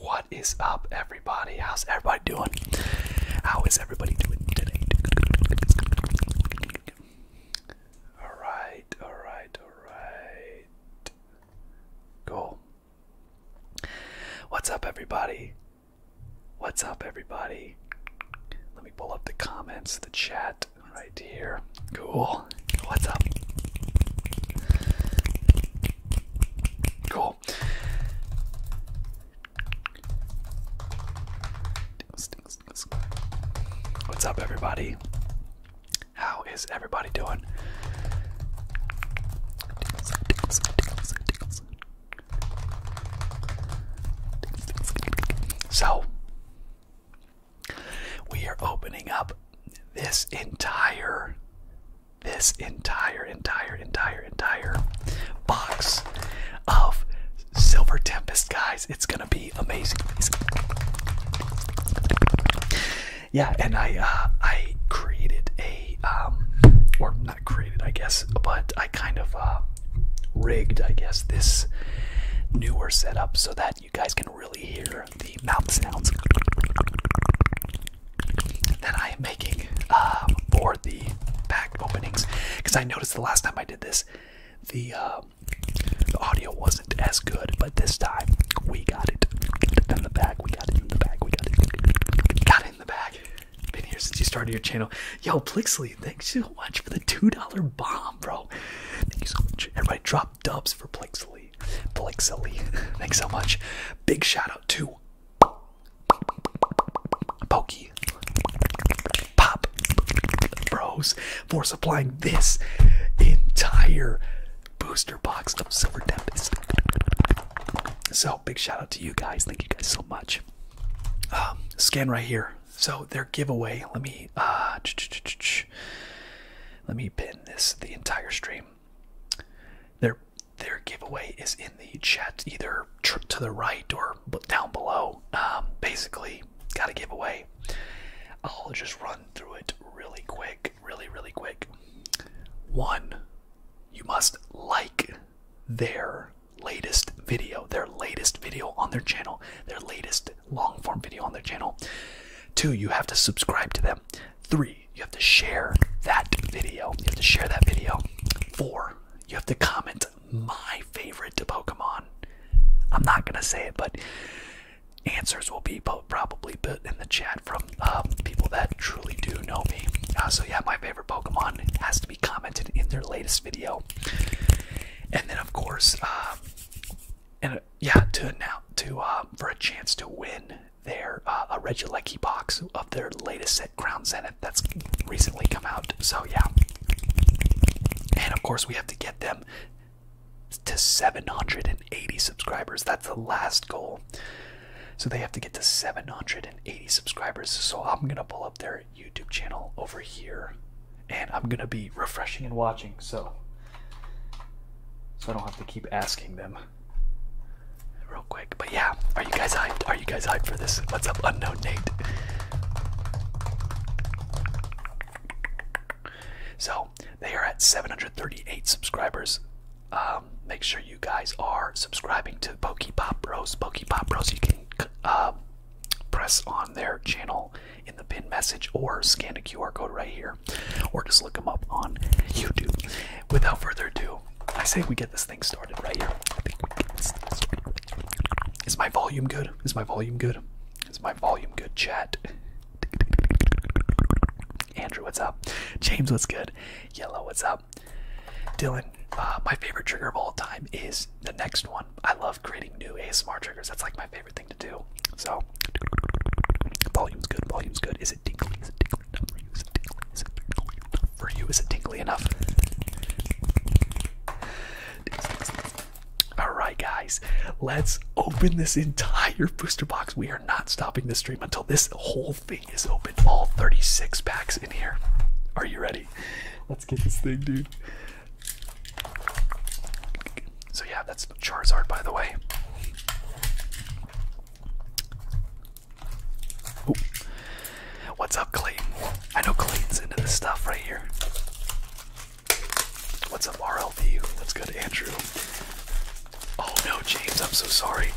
What is up, everybody? How's everybody doing? How is everybody doing today? All right, all right, all right. Cool. What's up, everybody? What's up, everybody? Let me pull up the comments, the chat right here. Cool. What's up? Cool. What's up, everybody? How is everybody doing? So, we are opening up this entire, this entire, entire, entire, entire box of Silver Tempest, guys. It's going to be amazing. Yeah, and I, uh, I created a, um, or created, I guess, but I kind of uh, rigged, I guess, this newer setup so that you guys can really hear the mouth sounds that I am making uh, for the pack openings. Because I noticed the last time I did this, um, the, audio wasn't as good, but this time we got it in the bag. We got it in the bag. We Got it in the bag. Been here since you started your channel. Yo, Plixley, thanks so much for the $2 bomb, bro. Thank you so much. Everybody drop dubs for Plixley. Plixley, thanks so much. Big shout out to Pokey Pop Bros for supplying this entire booster box of Silver Tempest. So big shout out to you guys. Thank you guys so much. Um, scan right here. So their giveaway. Let me uh, let me pin this the entire stream. Their their giveaway is in the chat, either to the right or down below. Um, basically, got a giveaway. I'll just run through it really quick, really really quick. One, you must like their latest video, their latest video on their channel, their latest long form video on their channel. Two, you have to subscribe to them. Three, you have to share that video. You have to share that video. Four, you have to comment my favorite Pokemon. I'm not gonna say it, but answers will be probably put in the chat from um, people that truly do know me. Uh, so yeah, my favorite Pokemon has to be commented in their latest video. And then, of course, um, and uh, yeah, to now to uh, for a chance to win their uh, a Regilecki box of their latest set, Crown Zenith, that's recently come out. So yeah, and of course we have to get them to 780 subscribers. That's the last goal. So they have to get to 780 subscribers. So I'm gonna pull up their YouTube channel over here, and I'm gonna be refreshing and watching, so so I don't have to keep asking them real quick. But yeah, are you guys hyped? Are you guys hyped for this? What's up, unknown Nate? So they are at 738 subscribers. Um, make sure you guys are subscribing to Pokepop Bros. Pokepop Bros. You can uh, press on their channel in the pin message or scan a QR code right here or just look them up on YouTube. Without further ado, I say we get this thing started right here. Is my volume good? Is my volume good? Is my volume good, chat? Andrew, what's up? James, what's good? Yellow, what's up? Dylan, uh, my favorite trigger of all time is the next one. I love creating new ASMR triggers. That's like my favorite thing to do. So, volume's good, volume's good. Is it tingly? Is it tingly enough for you? Is it tingly? Is it tingly enough for you? Is it tingly enough? Alright, guys, let's open this entire booster box. We are not stopping this stream until this whole thing is open. All 36 packs in here. Are you ready? Let's get this thing, dude. So yeah, that's Charizard, by the way. What's up, Clayton? I know Clayton's into this stuff right here. What's up, RLV? What's good, Andrew? Oh no, James, I'm so sorry.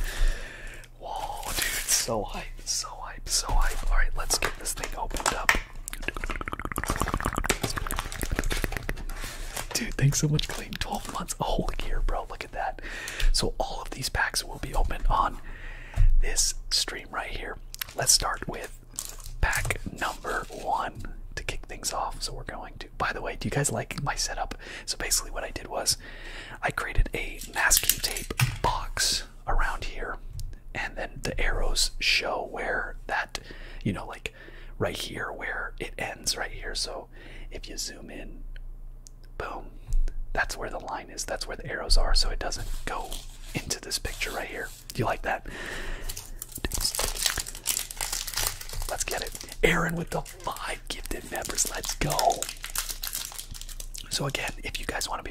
Whoa, dude, so high so hype, so hype. Alright, let's get this thing opened up. Dude, thanks so much, Clayton. 12 months, a whole year, bro. Look at that. So, all of these packs will be opened on this stream right here. Let's start with pack number one to kick things off. So, we're going to. By the way, do you guys like my setup? So, basically, what I did was I created a masking tape box around here and then the arrows show where that you know like right here where it ends right here so if you zoom in boom that's where the line is that's where the arrows are so it doesn't go into this picture right here do you like that let's get it aaron with the five gifted members let's go so again if you guys want to be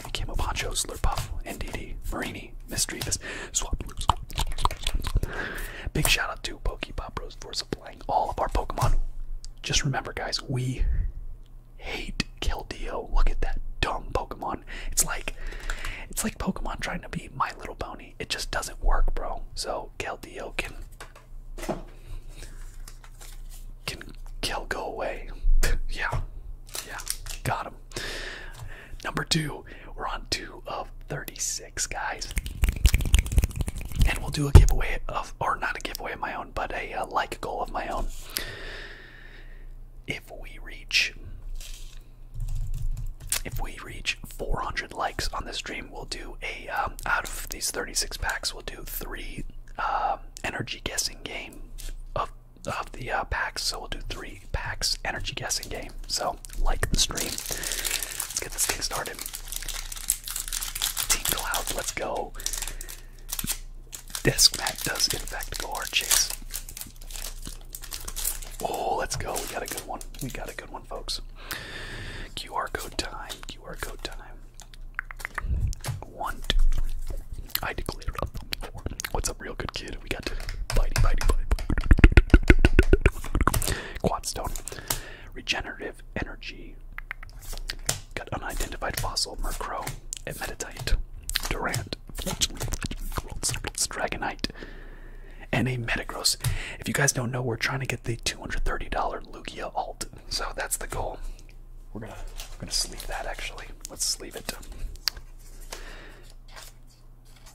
believe it came Poncho, Slurpuff, NDD, Marini, Mystery Fist, Swap Loops. Big shout out to Pop Bros for supplying all of our Pokemon. Just remember, guys, we hate Keldeo. Look at that dumb Pokemon. It's like it's like Pokemon trying to be My Little Pony. It just doesn't work, bro. So Keldeo can can Kel go away. yeah, yeah, got him. Number two, we're on two of 36, guys. And we'll do a giveaway of, or not a giveaway of my own, but a uh, like goal of my own. If we reach, if we reach 400 likes on this stream, we'll do a, um, out of these 36 packs, we'll do three uh, energy guessing game of of the uh, packs, so we'll do three packs energy guessing game. So like the stream. Let's get this game started. Team Cloud, let's go. Desk Mac does in fact go hard chase. Oh, let's go. We got a good one. We got a good one, folks. QR code time. QR code time. One, two, three. I declared up four. What's up, real good kid? We got today. Bitey, bitey, bitey. Quad stone. Regenerative energy. Got unidentified fossil, Murkrow, and Metatite. Durant. Dragonite. And a Metagross. If you guys don't know, we're trying to get the $230 Lugia alt. So that's the goal. We're gonna we're gonna sleeve that actually. Let's sleeve it.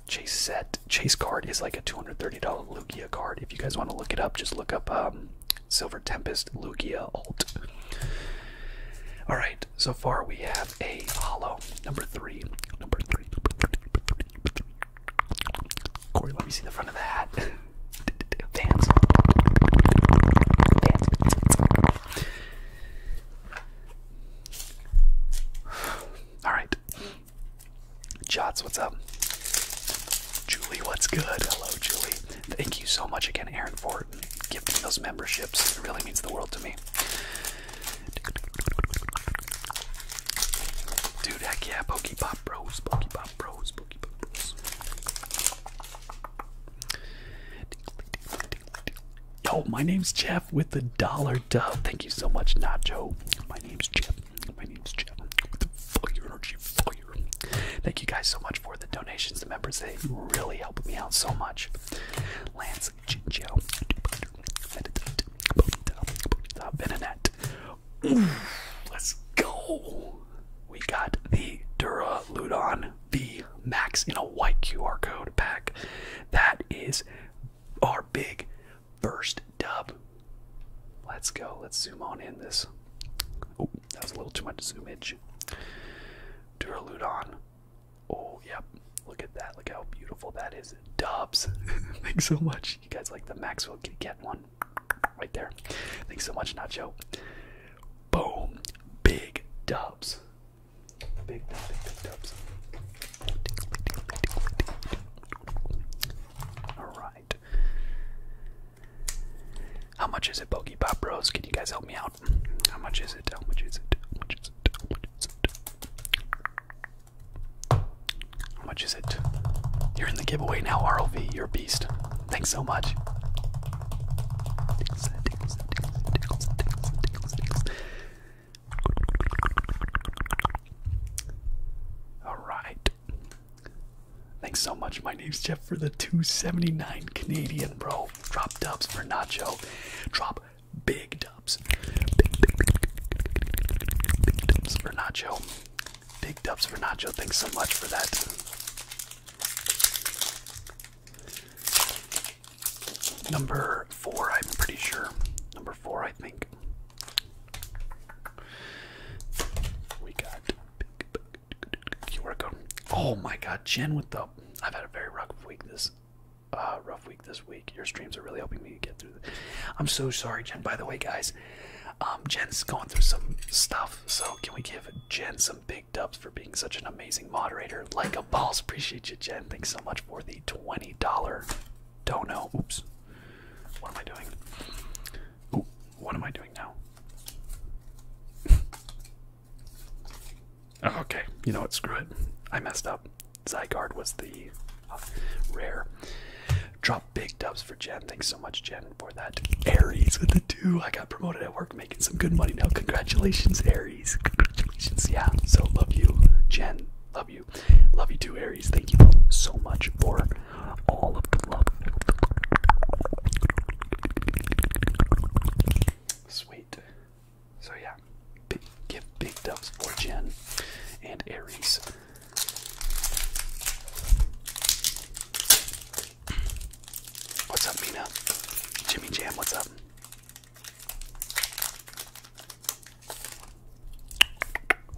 Chase set Chase card is like a two hundred thirty dollar Lugia card. If you guys want to look it up, just look up um, Silver Tempest Lugia alt. All right, so far we have a hollow number three, number three, Corey, let me see the front of the hat. Vans. Vans. All right. Jots, what's up? Julie, what's good? Hello, Julie. Thank you so much again, Aaron, for giving those memberships. It really means the world to me. Dude, heck yeah, Pokepop Bros, Pokepop Bros, Pokepop Bros. Yo, my name's Jeff with the dollar dub. Thank you so much, Nacho. My name's Jeff. My name's Jeff. With the fire energy, fire. Thank you guys so much for the donations, the members. They really helped me out so much. Lance, Jinjo, Beninette. Let's go. We got the Dura Ludon the Max in a white QR code pack. That is our big first dub. Let's go. Let's zoom on in this. Oh, that was a little too much zoomage. Duraludon. Oh, yep. Look at that. Look how beautiful that is. Dubs. Thanks so much. You guys like the Maxwell Kitty Cat one? Right there. Thanks so much, Nacho. Boom. Big dubs. How much is it, Pokey Pop Bros? Can you guys help me out? How much is it? How much is it? How much is it? How much is it? You're in the giveaway now, RLV. You're a beast. Thanks so much. All right. Thanks so much. My name's Jeff for the 279 Canadian, bro. Drop dubs for Nacho. Drop big dubs. big dubs for Nacho. Big dubs for Nacho. Thanks so much for that. Number four, I'm pretty sure. Number four, I think. We got QR code. Oh my God, Jen with the. I've had a very rough week this, uh, rough week this week. Your streams are really helping me get through. This. I'm so sorry, Jen. By the way, guys, um, Jen's going through some stuff. So can we give Jen some big big dubs for being such an amazing moderator. Like a boss. Appreciate you, Jen. Thanks so much for the $20 dollar. dono. Oops. What am I doing? what am I doing now? Oh, okay. You know what? Screw it. I messed up. Zygarde was the uh, rare. Drop big dubs for Jen. Thanks so much, Jen, for that. Aries with the two. I got promoted at work making some good money now. Congratulations, Aries. Congratulations. Yeah. So love you, Jen. Love you. Love you too, Aries. Thank you so much for all of the love. Sweet. So yeah. Big, give big dubs for Jen and Aries. What's up, Mina? Jimmy Jam, what's up?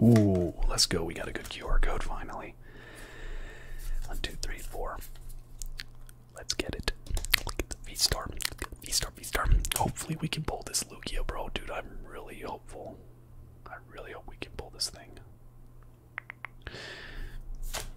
Ooh, let's go. We got a good QR code finally. One, two, three, four. Let's get it. the V-Star. V-Star, V-Star. Hopefully we can pull this Lugia, bro. Dude, I'm really hopeful. I really hope we can pull this thing.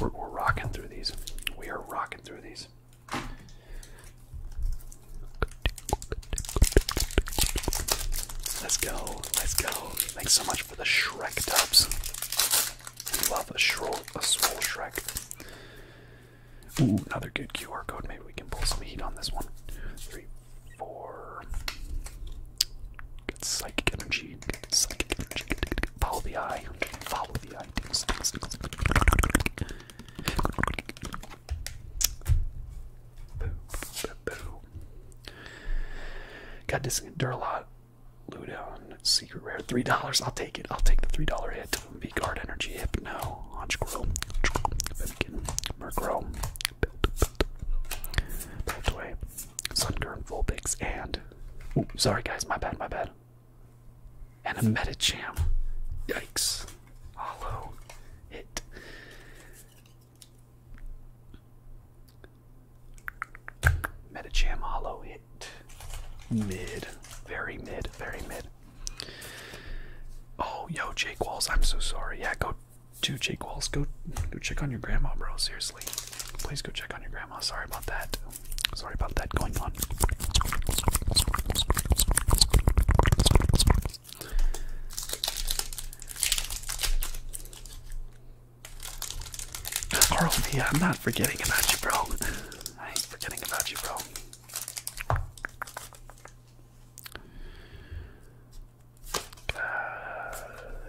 We're, we're rocking through these. We are rocking through these. Let's go. Let's go. Thanks so much for the Shrek dubs. love a shroll, a swole Shrek. Ooh, another good QR code. Maybe we can pull some heat on this one. Three, four. Get psychic energy. psychic energy. Follow the eye. Follow the eye. Got this Duralot. Ludon, secret rare, three dollars. I'll take it. I'll take the three dollar hit. V guard energy, hypno, Honchgrill, Vivkin, Murkrow, Beltway, Sungurn, Vulpix, and Ooh, sorry guys, my bad, my bad. And a Medicham. Yikes. Hollow hit. Medicham hollow hit. Mid. Very mid. Very mid. Oh, yo, Jake Walls, I'm so sorry. Yeah, go to Jake Walls. Go go check on your grandma, bro. Seriously. Please go check on your grandma. Sorry about that. Sorry about that going on. Carl, yeah, I'm not forgetting about you, bro. I ain't forgetting about you, bro. Uh,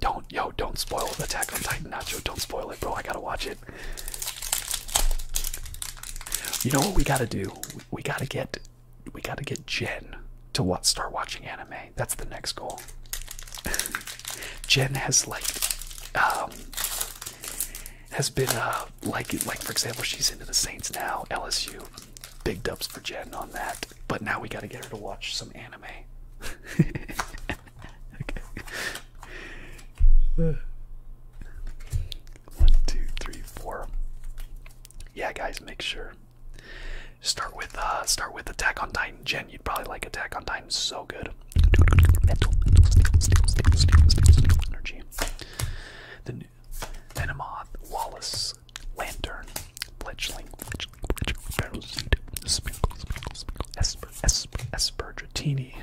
don't, yo, don't spoil the Attack on Titan Nacho. Don't spoil it, bro. I gotta watch it. You know what we gotta do? We gotta get, we gotta get Jen to what start watching anime. That's the next goal. Jen has like, um, has been uh like like for example she's into the Saints now LSU. Big dubs for Jen on that. But now we gotta get her to watch some anime. One, two, three, four. Yeah, guys, make sure. Start with uh start with Attack on Titan. Jen, you'd probably like Attack on Titan so good. energy. The Venomoth, Wallace, Lantern, Fledgling, Fledgling, Fledgling, Barrelseed, Sprinkles, Sprinkles, Sprinkles, Esper, Esper, Espergitini.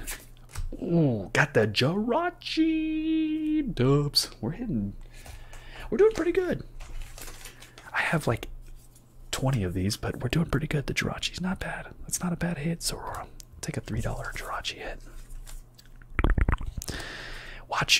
Ooh, got the Jirachi dubs. We're hitting, we're doing pretty good. I have like 20 of these, but we're doing pretty good. The Jirachi's not bad. That's not a bad hit, Sorora. Take a $3 Jirachi hit. Watch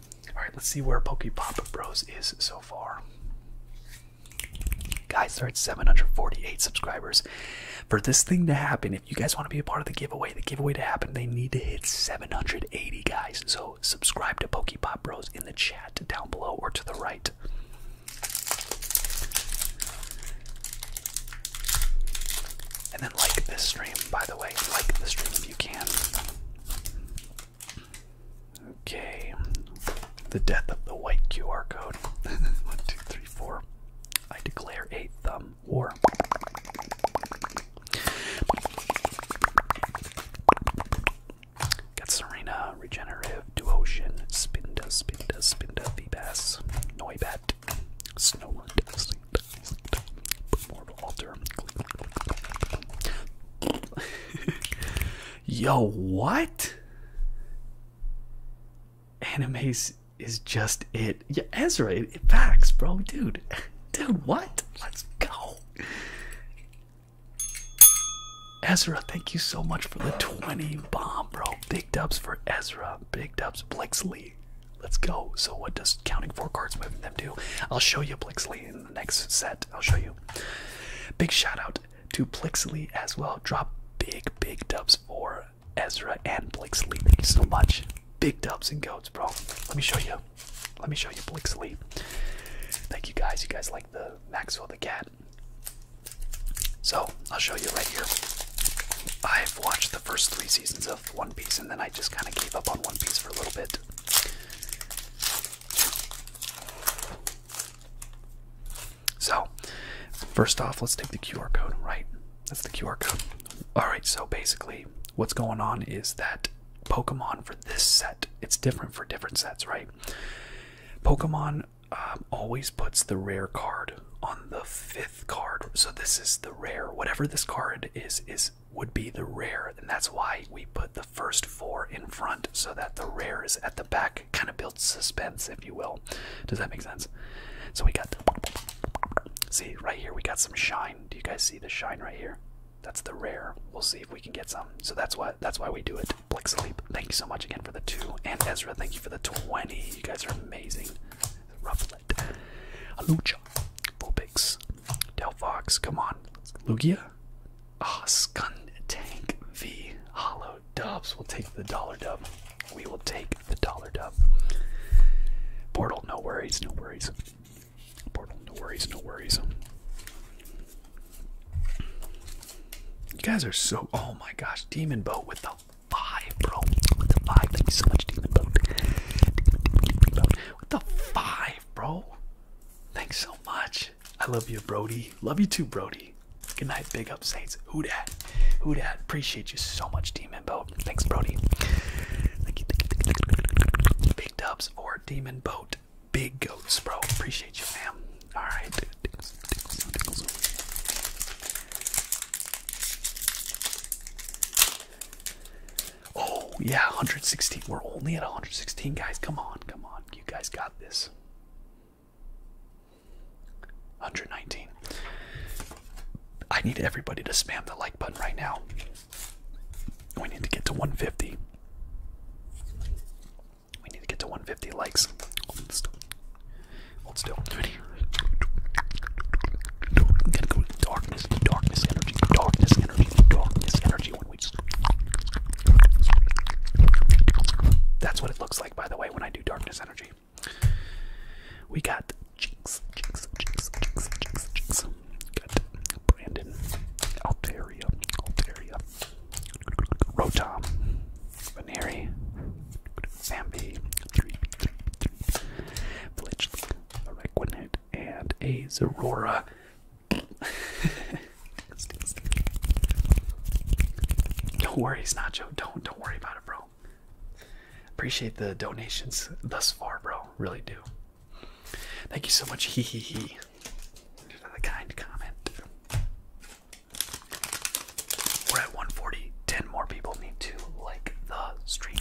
All right, let's see where Pop Bros is so far. Guys, they're 748 subscribers. For this thing to happen, if you guys want to be a part of the giveaway, the giveaway to happen, they need to hit 780, guys. So subscribe to Pop Bros in the chat down below or to the right. And then like this stream, by the way. Like the stream if you can. Okay. The death of the white QR code. One, two, three, four. I declare a thumb war. Got Serena, Regenerative, Duotion, Spinda, Spinda, Spinda, Vbass, Noibat, Snowland, Yo, what? Animes is just it. Yeah, Ezra, it, it backs, bro, dude. Dude, what? Let's go. Ezra, thank you so much for the 20 bomb, bro. Big dubs for Ezra. Big dubs, Blixley. Let's go. So what does counting four cards moving them do? I'll show you Blixley in the next set. I'll show you. Big shout out to Plixley as well. Drop big, big dubs for Ezra and Blixley. Thank you so much. Big dubs and goats, bro. Let me show you. Let me show you Blixley. Thank you guys. You guys like the Maxwell the Cat. So I'll show you right here. I've watched the first three seasons of One Piece and then I just kind of gave up on One Piece for a little bit. So, first off, let's take the QR code, right? That's the QR code. Alright, so basically, what's going on is that Pokemon for this set, it's different for different sets, right? Pokemon um, always puts the rare card on the fifth card. So, this is the rare. Whatever this card is, is would be the rare, and that's why we put the first four in front so that the rare is at the back, kind of builds suspense, if you will. Does that make sense? So we got the, see right here, we got some shine. Do you guys see the shine right here? That's the rare. We'll see if we can get some. So that's why that's why we do it. Blick Thank you so much again for the two, and Ezra, thank you for the twenty. You guys are amazing. Rufflet, Alucha, Vulpix, Delphox, come on. Lugia? Ah, Scun Tank V. Hollow Dubs. We'll take the dollar dub. We will take the dollar dub. Portal, no worries, no worries. Portal, no worries, no worries. You guys are so. Oh my gosh, Demon Boat with the five, bro. With the five. Thank you so much, Demon Boat. Demon Boat. With the five, bro. Thanks so much. I love you, Brody. Love you too, Brody. Good night, big up Saints. Who dat? Who dat? Appreciate you so much, Demon Boat. Thanks, Brody. Big dubs or Demon Boat. Big goats, bro. Appreciate you, fam. All right, Oh, yeah, 116. We're only at 116, guys. Come on, come on. You guys got this. 119. I need everybody to spam the like button right now. We need to get to 150. We need to get to 150 likes. Hold still. Hold still. That's what it looks like, by the way, when I do darkness energy. We got Jinx, Jinx, Jinx, Jinx, Jinx, Jinx. Got Brandon, Altaria, Altaria, Rotom, Veneri, Zambi, Fletchling, Requinite, and a Zorora don't worry, it's Nacho. Don't don't worry about it, bro. Appreciate the donations thus far, bro. Really do. Thank you so much. Hee hee hee. Another kind comment. We're at 140. 10 more people need to like the stream.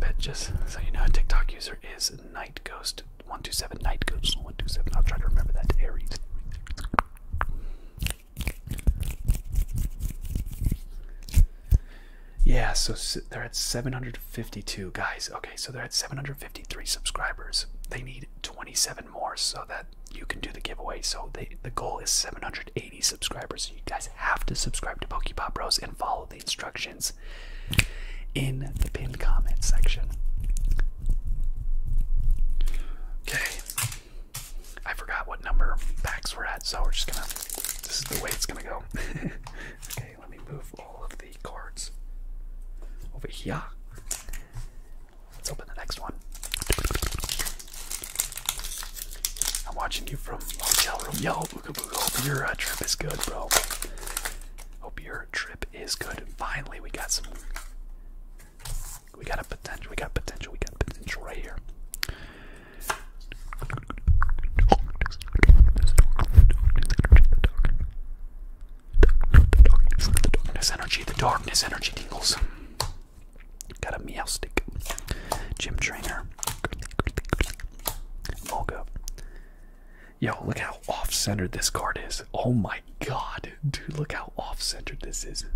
But just so you know, a TikTok user is Night Ghost one two seven Night Ghost one two seven. I'll try to remember that Aries. Yeah, so they're at 752 guys. Okay, so they're at 753 subscribers. They need 27 more so that you can do the giveaway. So they, the goal is 780 subscribers. you guys have to subscribe to Pokepop Bros and follow the instructions in the pinned comment section. Okay, I forgot what number packs we're at, so we're just gonna this is the way it's gonna go. okay, let me move all of the cards over here. Let's open the next one. I'm watching you from hotel room. Yo, hope your uh, trip is good, bro. Hope your trip is good. finally, we got some. We got a potential. We got potential. We got potential right here. The darkness energy, the darkness energy tingles. Got a meow stick. Gym trainer. Moga. Yo, look how off-centered this card is. Oh my god. Dude, look how off-centered this is.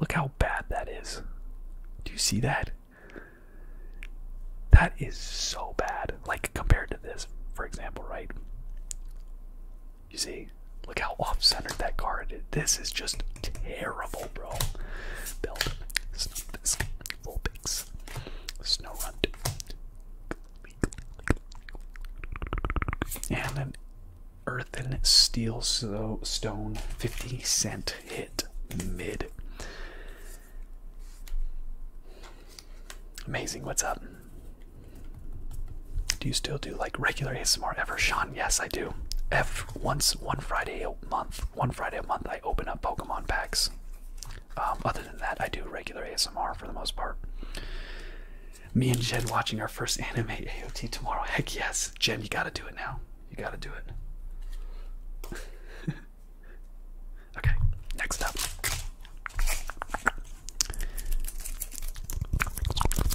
Look how bad that is. Do you see that? That is so bad. Like compared to this, for example, right? You see? Look how off-centered that card is. This is just terrible, bro. Build. Snuff this. Snow Runt. And an earthen steel so stone 50 cent hit mid. Amazing, what's up? Do you still do like regular ASMR ever, Sean? Yes, I do. F once one Friday a month, one Friday a month, I open up Pokemon packs. Um, other than that, I do regular ASMR for the most part. Me and Jen watching our first anime AOT tomorrow. Heck yes, Jen, you gotta do it now. You gotta do it. okay, next up.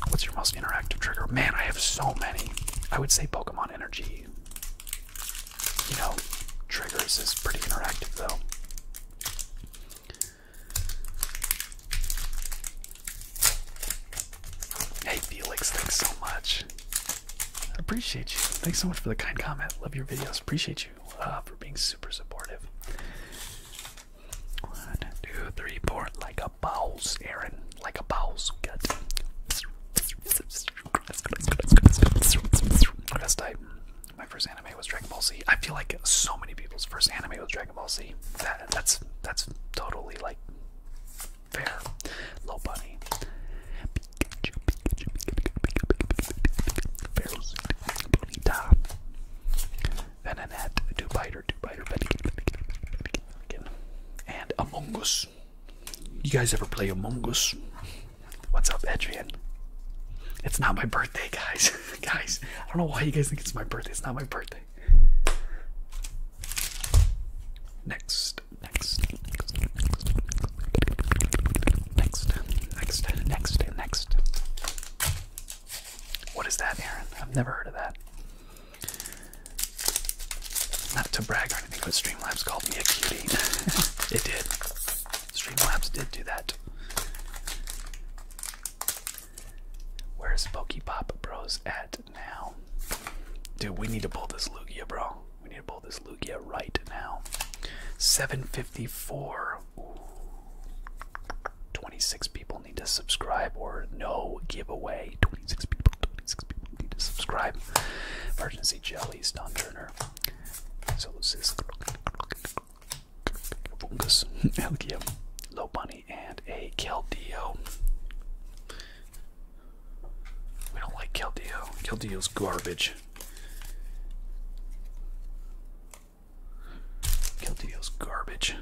What's your most interactive trigger? Man, I have so many. I would say Pokemon Energy. You know, triggers is pretty interactive though. Hey Felix, thanks so much. appreciate you. Thanks so much for the kind comment. Love your videos. Appreciate you uh, for being super supportive. One, two, three, four. Like a bows, Aaron. Like a bows. Good. Best type. My first anime was Dragon Ball Z. I feel like so many people's first anime was Dragon Ball Z. that's that's totally like Fair. Low bunny. Pikachu, Pikachu, Pikachu, Bonita. Venonat, biter, two biter, and Among Us. You guys ever play Among Us? What's up, Edrian? It's not my birthday, guys. guys, I don't know why you guys think it's my birthday. It's not my birthday. Next next, next, next, next, next, next, next. What is that, Aaron? I've never heard of that. Not to brag or anything, but Streamlabs called me a cutie. it did. Streamlabs did do that. Where's Pop Bros at? now. Dude, we need to pull this Lugia, bro. We need to pull this Lugia right now. 754. 26 people need to subscribe or no giveaway. 26 people, 26 people need to subscribe. Emergency Jelly, Stun Turner. So this is Fungus, Low Bunny, and a Keldeo. We don't like Keldeo. Keldeo's garbage. Keldeo's garbage.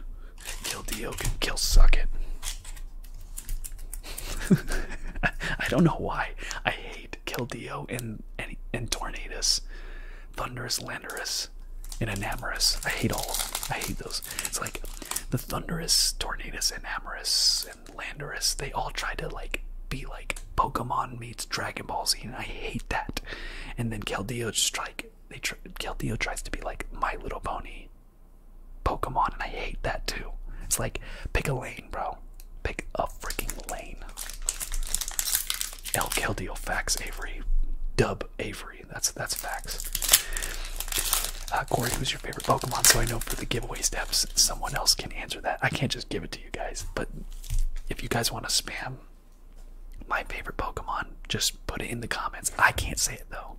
Keldeo can kill suck it. I don't know why. I hate Keldeo and and, and Tornadus. Thunderous Landorus and Enamorous. I hate all I hate those. It's like the Thunderous, Tornadus, Enamorous and Landorus, they all try to like be like Pokemon meets Dragon Ball Z, and I hate that. And then Keldio just like they tries to be like My Little Pony, Pokemon, and I hate that too. It's like pick a lane, bro. Pick a freaking lane. El Keldio facts Avery, dub Avery. That's that's facts. Uh, Corey, who's is favorite Pokemon so I know for the giveaway steps someone else can answer that. I can't just give it to you guys, but if you guys want to spam my favorite Pokemon, just put it in the comments. I can't say it though.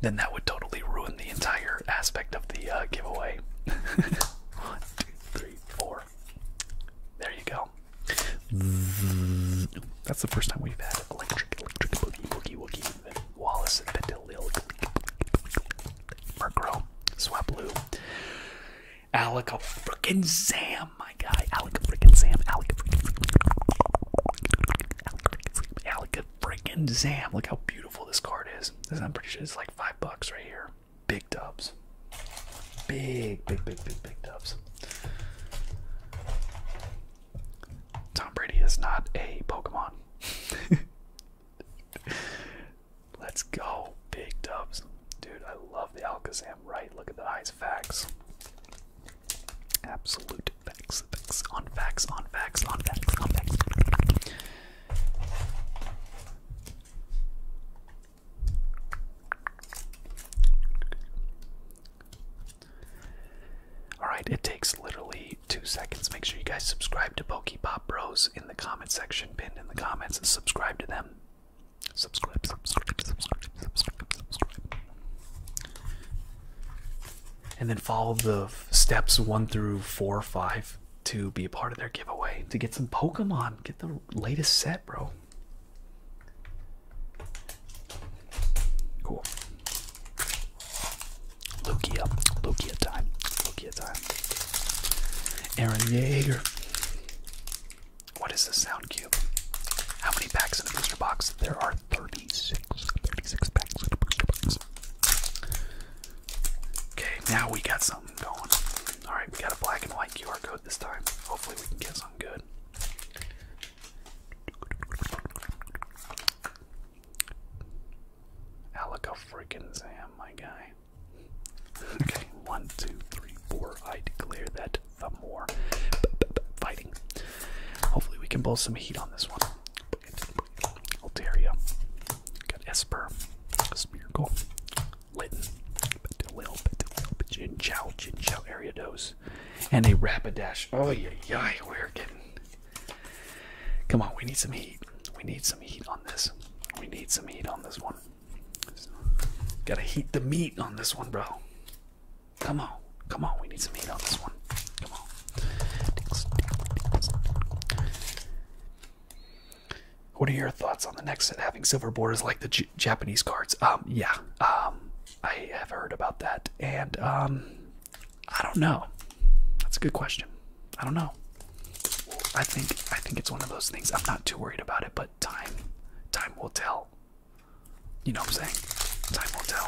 Then that would totally ruin the entire aspect of the uh, giveaway. One, two, three, four. There you go. That's the first time we've had electric, boogie, boogie, Wallace and Betilil, Murkrow, Swablu, Alec a frickin' Sam, my guy, Alec a fricking Sam, Alec a fricking Sam, Alec a frickin' Sam. Look how beautiful this card is. This, I'm pretty sure it's like five bucks right here. Big dubs. Big, big, big, big, big dubs. Tom Brady is not a Pokemon. Let's go, big dubs. Dude, I love the Alcazam. right? Look at the eyes, facts. Absolute facts, facts, on facts, on facts, on facts, on facts. Alright, it takes literally two seconds. Make sure you guys subscribe to Pokepop Bros in the comment section, pinned in the comments. Subscribe to them. Subscribe, subscribe, subscribe, subscribe, subscribe. And then follow the steps one through four or five to be a part of their giveaway to get some Pokemon. Get the latest set, bro. Cool. Lugia, Lugia time, Lugia time. Aaron Yeager. What is the sound cube? How many packs in a booster box? There are 36. 36 packs Okay, now we got something going. Alright, we got a black and white QR code this time. Hopefully, we can get something good. Alaka freaking Sam, my guy. okay, one, two, three, four. I declare that the more fighting. Hopefully, we can pull some heat on this one. Altaria. Got Esper. Speargle. Litten. Betilil. Betilil. Jinchao. Jinchao. Ariados. And a Rapidash. Oh, yeah, yeah. We're getting Come on, we need some heat. We need some heat on this. We need some heat on this one. gotta heat the meat on this one, bro. Come on, come on, we need some heat on this one. Come on. What are your thoughts on the next set having silver borders like the Japanese cards? Um, yeah, um, I have heard about that, and um, I don't know. That's a good question. I don't know. I think I think it's one of those things. I'm not too worried about it, but time time will tell. You know what I'm saying? Time will tell.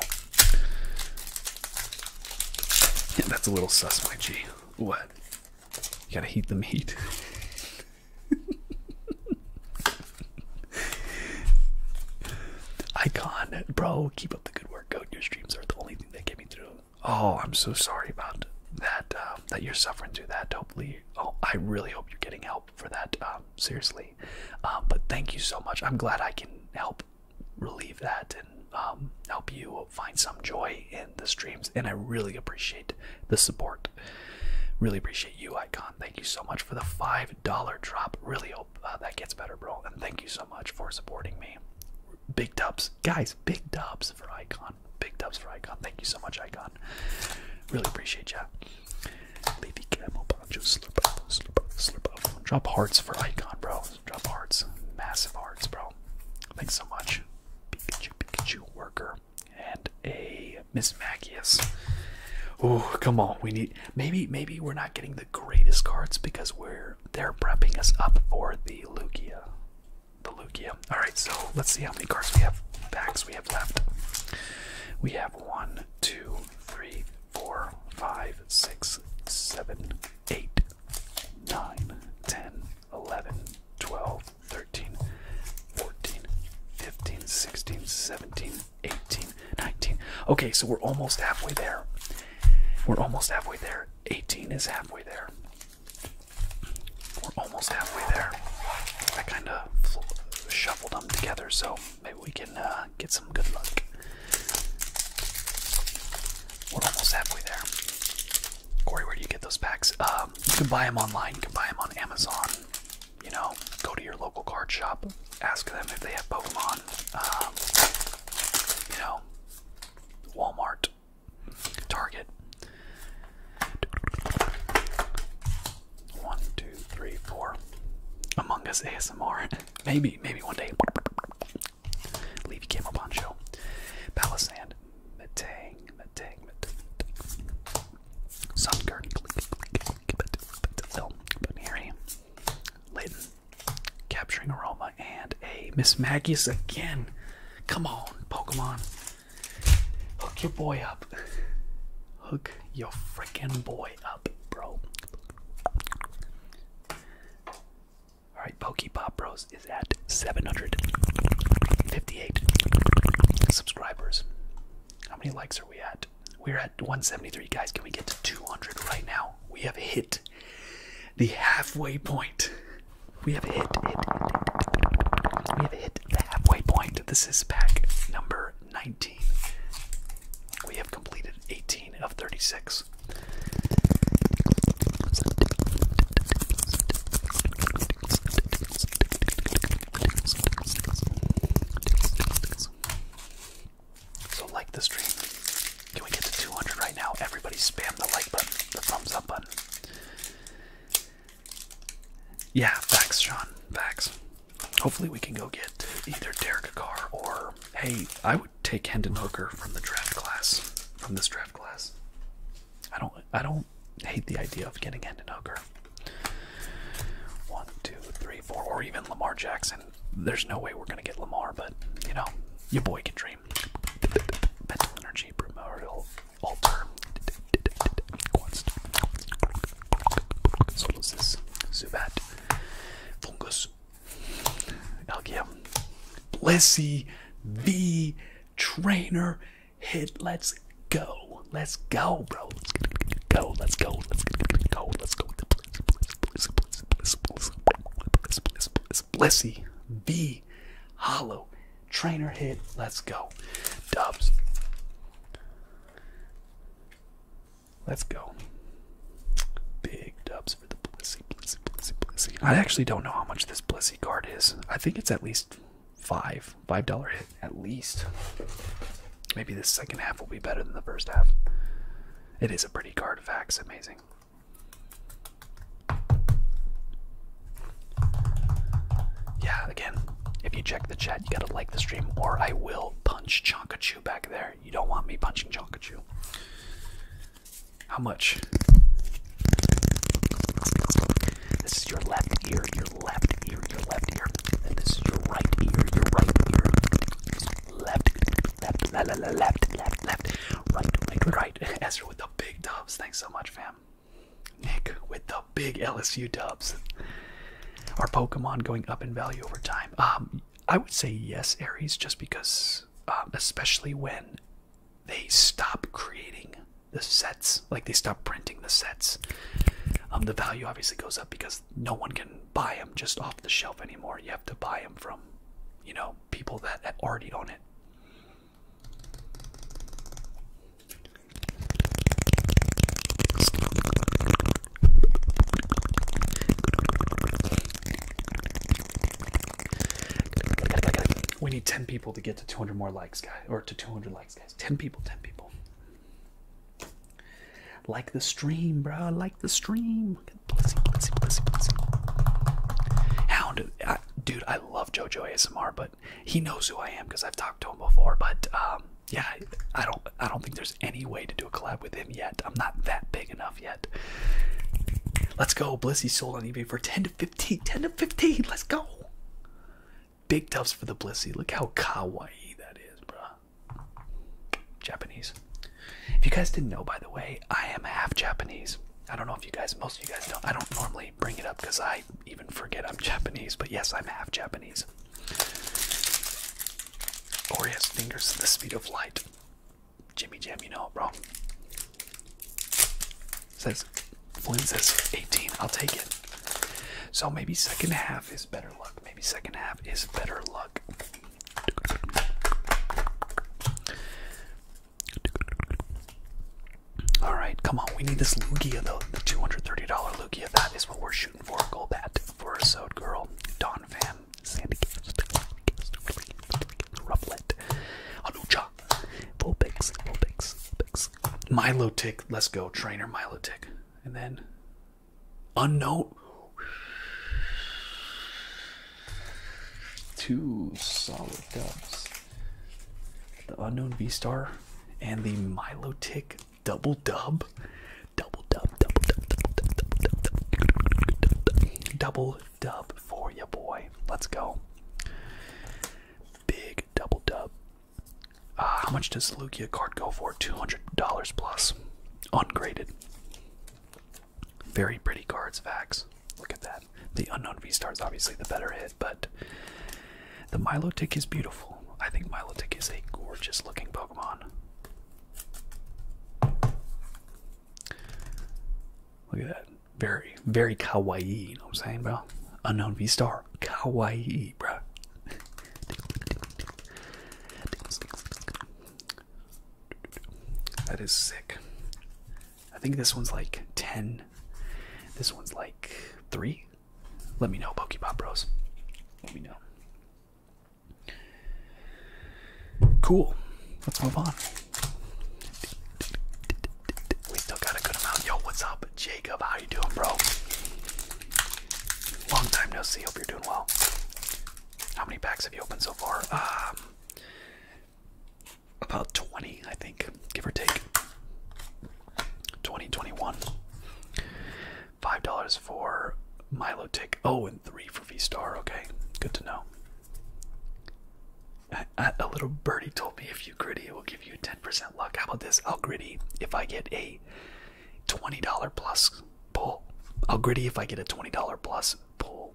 Yeah, that's a little sus, my G. What? You gotta heat the meat. Icon, bro. Keep Keep the good work, Goat. Your streams are the only thing that get me through. Oh, I'm so sorry about that. Um, that you're suffering through that. Hopefully, oh, I really hope you're getting help for that. Um, seriously, um, but thank you so much. I'm glad I can help relieve that and help you find some joy in the streams. And I really appreciate the support. Really appreciate you, Icon. Thank you so much for the five dollar drop. Really hope. Uh, that gets better, bro. And thank you so much for supporting me. Big dubs, guys. Big dubs for Icon. Big dubs for Icon. Thank you so much, Icon. Really appreciate ya. Leafy Camel Poncho, Drop hearts for Icon, bro. Drop hearts. Massive hearts, bro. Thanks so much. Pikachu, Pikachu worker. And a Miss Magius. Oh, come on. We need maybe maybe we're not getting the the greatest cards because we're they're prepping us up for the Lugia. The Lugia. Alright, so let's see how many cards we have backs we have left. We have one, two, three, four, five, six, seven, eight, nine, ten, eleven, twelve, thirteen, fourteen, fifteen, sixteen, seventeen, eighteen, nineteen. Okay, so we're almost halfway there. We're almost halfway there. 18 is halfway there. We're almost halfway there. I kind of shuffled them together, so maybe we can uh, get some good luck. We're almost halfway there. Corey, where do you get those packs? Um, you can buy them online. You can buy them on Amazon. You know, go to your local card shop, ask them if they have Pokemon. Um, you know, Walmart, Target. One, two, three, four. Among Us ASMR. maybe, maybe one day. Leave Camo Poncho. Palisand. Matang, Matang, Matang. Sun Garden. Lil. Harry. Layton. Capturing Aroma and a Miss Magius again. Come on, Pokemon. Hook your boy up. Hook your freaking boy up, bro. Alright, Pokepop Bros is at 758 subscribers. How many likes are we at? We're at 173. Guys, can we get to 200 right now? We have hit the halfway point. We have hit, hit, We have hit the halfway point. This is pack number 19. We have completed 18 of 36. So like the stream. Can we get to 200 right now? Everybody spam the like button, the thumbs up button. Yeah, backs, Sean. backs. Hopefully we can go get either Derek Carr or hey, I would take Hendon Hooker from the draft class. From this draft class. I don't I don't hate the idea of getting Hendon Hooker. One, two, three, four, or even Lamar Jackson there's no way we're gonna get Lamar, but you know, your boy can dream. Mental energy, primordial altar. Quest. Solosis, Zubat, Fungus, Elgia, Blissey, V, Trainer, Hit. Let's go. Let's go, bro. Let's go. Let's go. Let's go. Let's go. Blissie, V, hollow, trainer hit, let's go. Dubs. Let's go. Big dubs for the blissy, I actually don't know how much this Blissie card is. I think it's at least five, five dollar hit at least. Maybe the second half will be better than the first half. It is a pretty card, facts amazing. Yeah, again, if you check the chat, you gotta like the stream, or I will punch Chonkachu back there. You don't want me punching Chonkachu. How much? This is your left ear, your left ear, your left ear. And this is your right ear, your right ear. Left, left, left, la, left, left, left, right, right, right. Ezra with the big dubs. Thanks so much, fam. Nick with the big LSU dubs. Are Pokemon going up in value over time? Um, I would say yes, Aries, just because, um, especially when they stop creating the sets, like they stop printing the sets. Um, the value obviously goes up because no one can buy them just off the shelf anymore. You have to buy them from, you know, people that already own it. We need 10 people to get to 200 more likes, guys, or to 200 likes, guys. 10 people, 10 people. Like the stream, bro. Like the stream. Blissy, blissy, blissy, blissy. Hound, I, dude, I love JoJo ASMR, but he knows who I am because I've talked to him before. But um, yeah, I don't, I don't think there's any way to do a collab with him yet. I'm not that big enough yet. Let's go, Blissy sold on eBay for 10 to 15, 10 to 15. Let's go. Big dubs for the Blissy. Look how kawaii that is, bruh. Japanese. If you guys didn't know, by the way, I am half Japanese. I don't know if you guys, most of you guys don't. I don't normally bring it up because I even forget I'm Japanese, but yes, I'm half Japanese. Corey fingers the speed of light. Jimmy Jam, you know, bro. Says, Flynn says 18. I'll take it. So maybe second half is better luck. Maybe second half is better luck. All right, come on. We need this Lugia, though. The $230 Lugia. That is what we're shooting for. Gold bat for a sewed Girl, Don Van, Sandy Rufflet, Anucha, Vulpix, Vulpix, Vulpix, Milo Let's go. Trainer Milo And then unknown. Two solid dubs. The unknown V Star and the Milo Tick double dub. Double dub, double dub, double dub, double dub, double dub, double dub for you, boy. Let's go. Big double dub. Uh, how much does the Lugia card go for? $200 plus. Ungraded. Very pretty cards, Vax. Look at that. The unknown V star is obviously the better hit, but the Milotic is beautiful. I think Milotic is a gorgeous looking Pokemon. Look at that. Very, very kawaii, you know what I'm saying, bro? Unknown V star. Kawaii, bro. That is sick. I think this one's like 10. This one's like 3. Let me know, Pokepop Bros. Let me know. Cool. Let's move on. We still got a good amount. Yo, what's up, Jacob? How you doing, bro? Long time no see. Hope you're doing well. How many packs have you opened so far? Um, about 20, I think, give or take. 2021. Five dollars for Milo Tick. Oh, and three for V Star. Okay, good to know. A little birdie told me if you gritty, it will give you 10% luck. How about this? I'll gritty if I get a $20 plus pull. I'll gritty if I get a $20 plus pull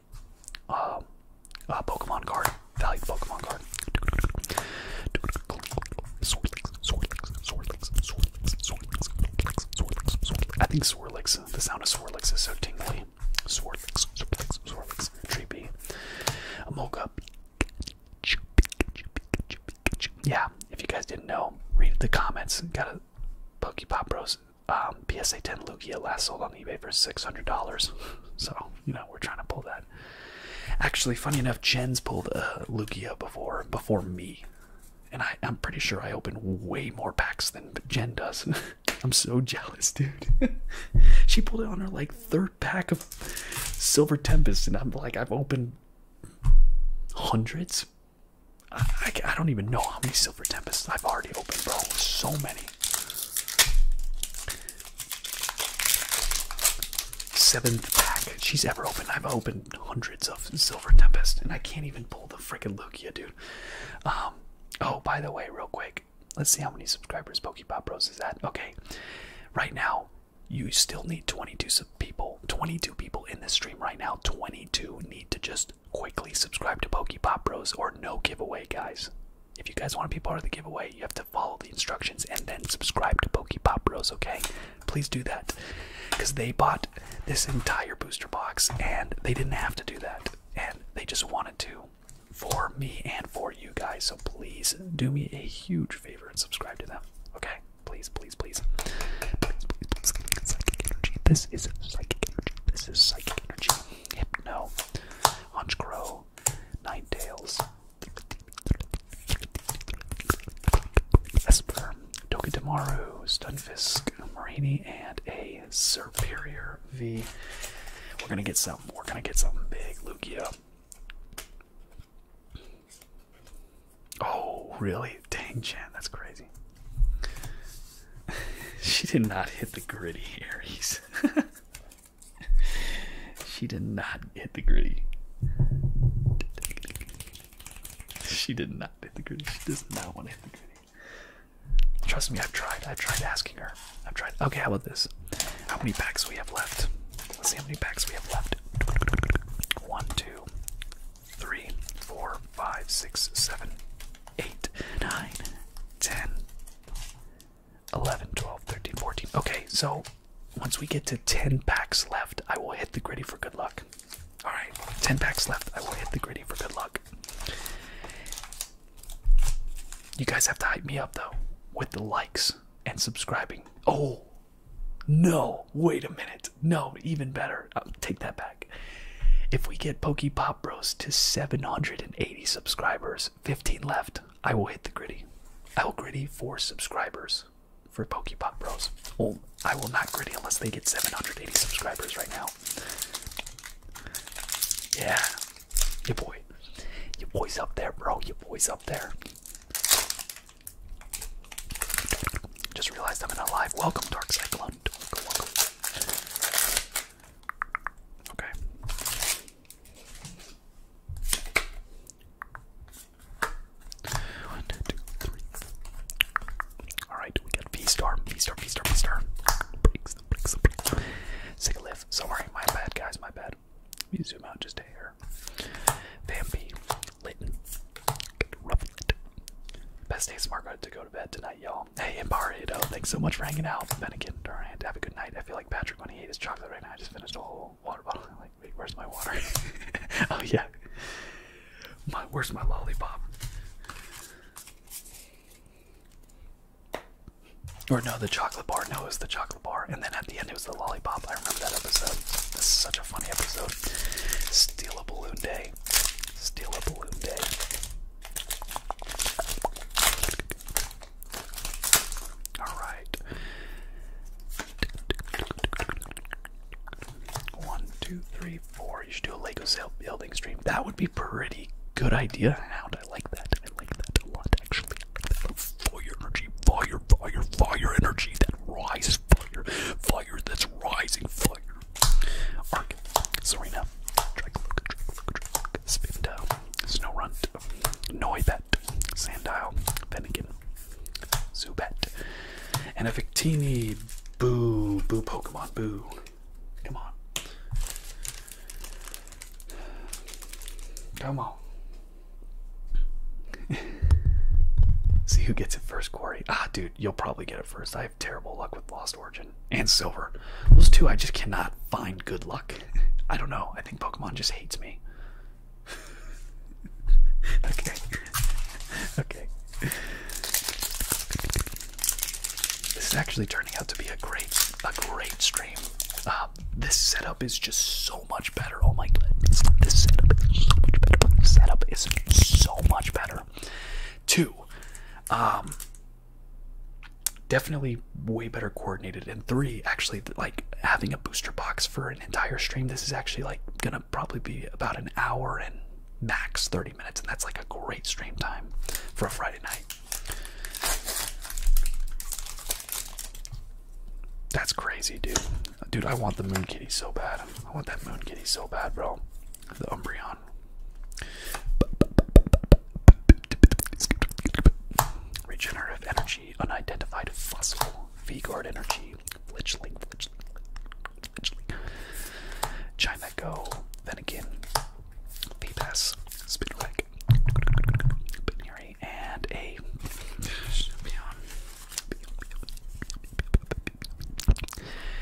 valuable um, uh, uh, Pokemon card. Valued Pokemon card. I think Swirlix, the sound of Swirlix is so tingly. Swirlix, Swirlix, Swirlix, Treepy. Mocha. Yeah, if you guys didn't know, read the comments. Got a Pokepop Bros um, PSA 10 Lugia last sold on eBay for $600. so, you know, we're trying to pull that. Actually, funny enough, Jen's pulled uh, Lugia before before me. And I, am pretty sure I opened way more packs than Jen does. I'm so jealous, dude. she pulled it on her like third pack of Silver Tempest, and I'm like, I've opened hundreds. I, I don't even know how many Silver Tempests I've already opened, bro. So many. Seventh pack she's ever opened. I've opened hundreds of Silver Tempest, and I can't even pull the freaking Lugia, dude. Um, oh, by the way, real quick, let's see how many subscribers Pokepop Bros is at. Okay, right now you still need 22 people. 22 people in this stream right now. 22 need to just quickly subscribe to Pop Bros or no giveaway, guys. If you guys want to be part of the giveaway, you have to follow the instructions and then subscribe to Pop Bros, okay? Please do that. Because they bought this entire booster box and they didn't have to do that. And they just wanted to for me and for you guys. So please do me a huge favor and subscribe to them, okay? Please, please, please. Please, please, please. Psychic energy. This is psychic energy. This is psychic energy. Hypno, Night Tails, Esper, Tokidamaru, Stunfisk, Marini, and a Superior V. We're gonna get something, we're gonna get something big, Lugia. Oh, really? Dang, Chan, that's crazy. she did not hit the gritty, Aries. she did not hit the gritty. She did not hit the gritty. She does not want to hit the gritty. Trust me, I've tried. I've tried asking her. I've tried. Okay, how about this? How many packs we have left? Let's see how many packs we have left. One, two, three, four, five, six, seven, 8, 9, Okay, so once we get to 10 packs left, I will hit the gritty for good luck. Alright, 10 packs left, I will hit the gritty for good luck. You guys have to hype me up though with the likes and subscribing. Oh, no, wait a minute. No, even better. take that back. If we get Pop bros, to 780 subscribers. 15 left. I will hit the gritty. I will gritty for subscribers for Pop Bros. Well, I will not gritty unless they get 780 subscribers right now. Yeah. Your boy. Your boy's up there, bro. Your boy's up there. Just realized I'm in a live. Welcome, Dark Cyclone. Welcome, Okay. One, two, three. Alright, we got V star, V star, V star, V star. Breaks, breaks, breaks. Sick lift. Sorry, my bad, guys, my bad. Let me zoom out just a hair. Vampy, Litton, Rufflet. Best day smart to go to bed tonight, y'all. Hey, Imbarito, thanks so much for hanging out. Bennigan, Durant, have a good night. I feel like Patrick when he ate his chocolate right now. I just finished a whole water bottle. I'm like, wait, where's my water? oh, yeah. My, where's my lollipop? Or no, the chocolate bar. No, it was the chocolate bar. And then at the end, it was the lollipop. I remember that episode. This is such a funny episode. Steal a balloon day. Steal a balloon day. All right. One, two, three, four. You should do a Lego sale building stream. That would be pretty good idea. How'd I like that? I like that a lot, actually. Like fire energy, fire, fire, fire energy that rises, fire, fire that's rising, fire, Arc, Serena, Dracloak, Dracloak, Spinda, Snowrunt, Noibat, Sandile, Fennekin, Zubat, and a Victini. Boo, boo, Pokemon, boo. Come on. Come on. See who gets it first, Corey. Ah, dude, you'll probably get it first. I have terrible luck with Lost and Silver. Those two I just cannot find good luck. I don't know. I think Pokemon just hates me. okay. okay. This is actually turning out to be a great, a great stream. Um, this setup is just so much better. Oh my god, this setup is so much better. This setup is so much better. Two, um, definitely way better coordinated and three actually like having a booster box for an entire stream this is actually like gonna probably be about an hour and max 30 minutes and that's like a great stream time for a friday night that's crazy dude dude i want the moon kitty so bad i want that moon kitty so bad bro the umbreon Regenerative energy, unidentified fossil, v energy, fledgling, fledgling, fledgling. China Go, Venekin, P-Pass, Spinnerback, and a Beyond.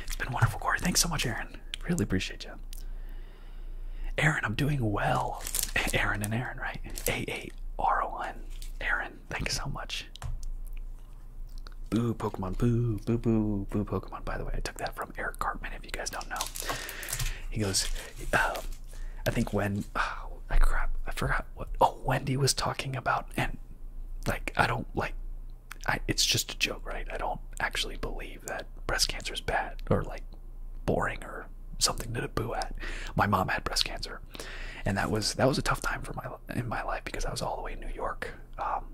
It's been wonderful, Corey. Thanks so much, Aaron. Really appreciate you. Aaron, I'm doing well. Aaron and Aaron, right? A A R O N. Aaron, thank you so much. Boo Pokemon, boo, boo, boo, boo Pokemon. By the way, I took that from Eric Cartman. If you guys don't know, he goes. Um, I think when oh, crap, I forgot what. Oh, Wendy was talking about, and like I don't like. it's just a joke, right? I don't actually believe that breast cancer is bad or like boring or something to boo at. My mom had breast cancer, and that was that was a tough time for my in my life because I was all the way in New York. Um,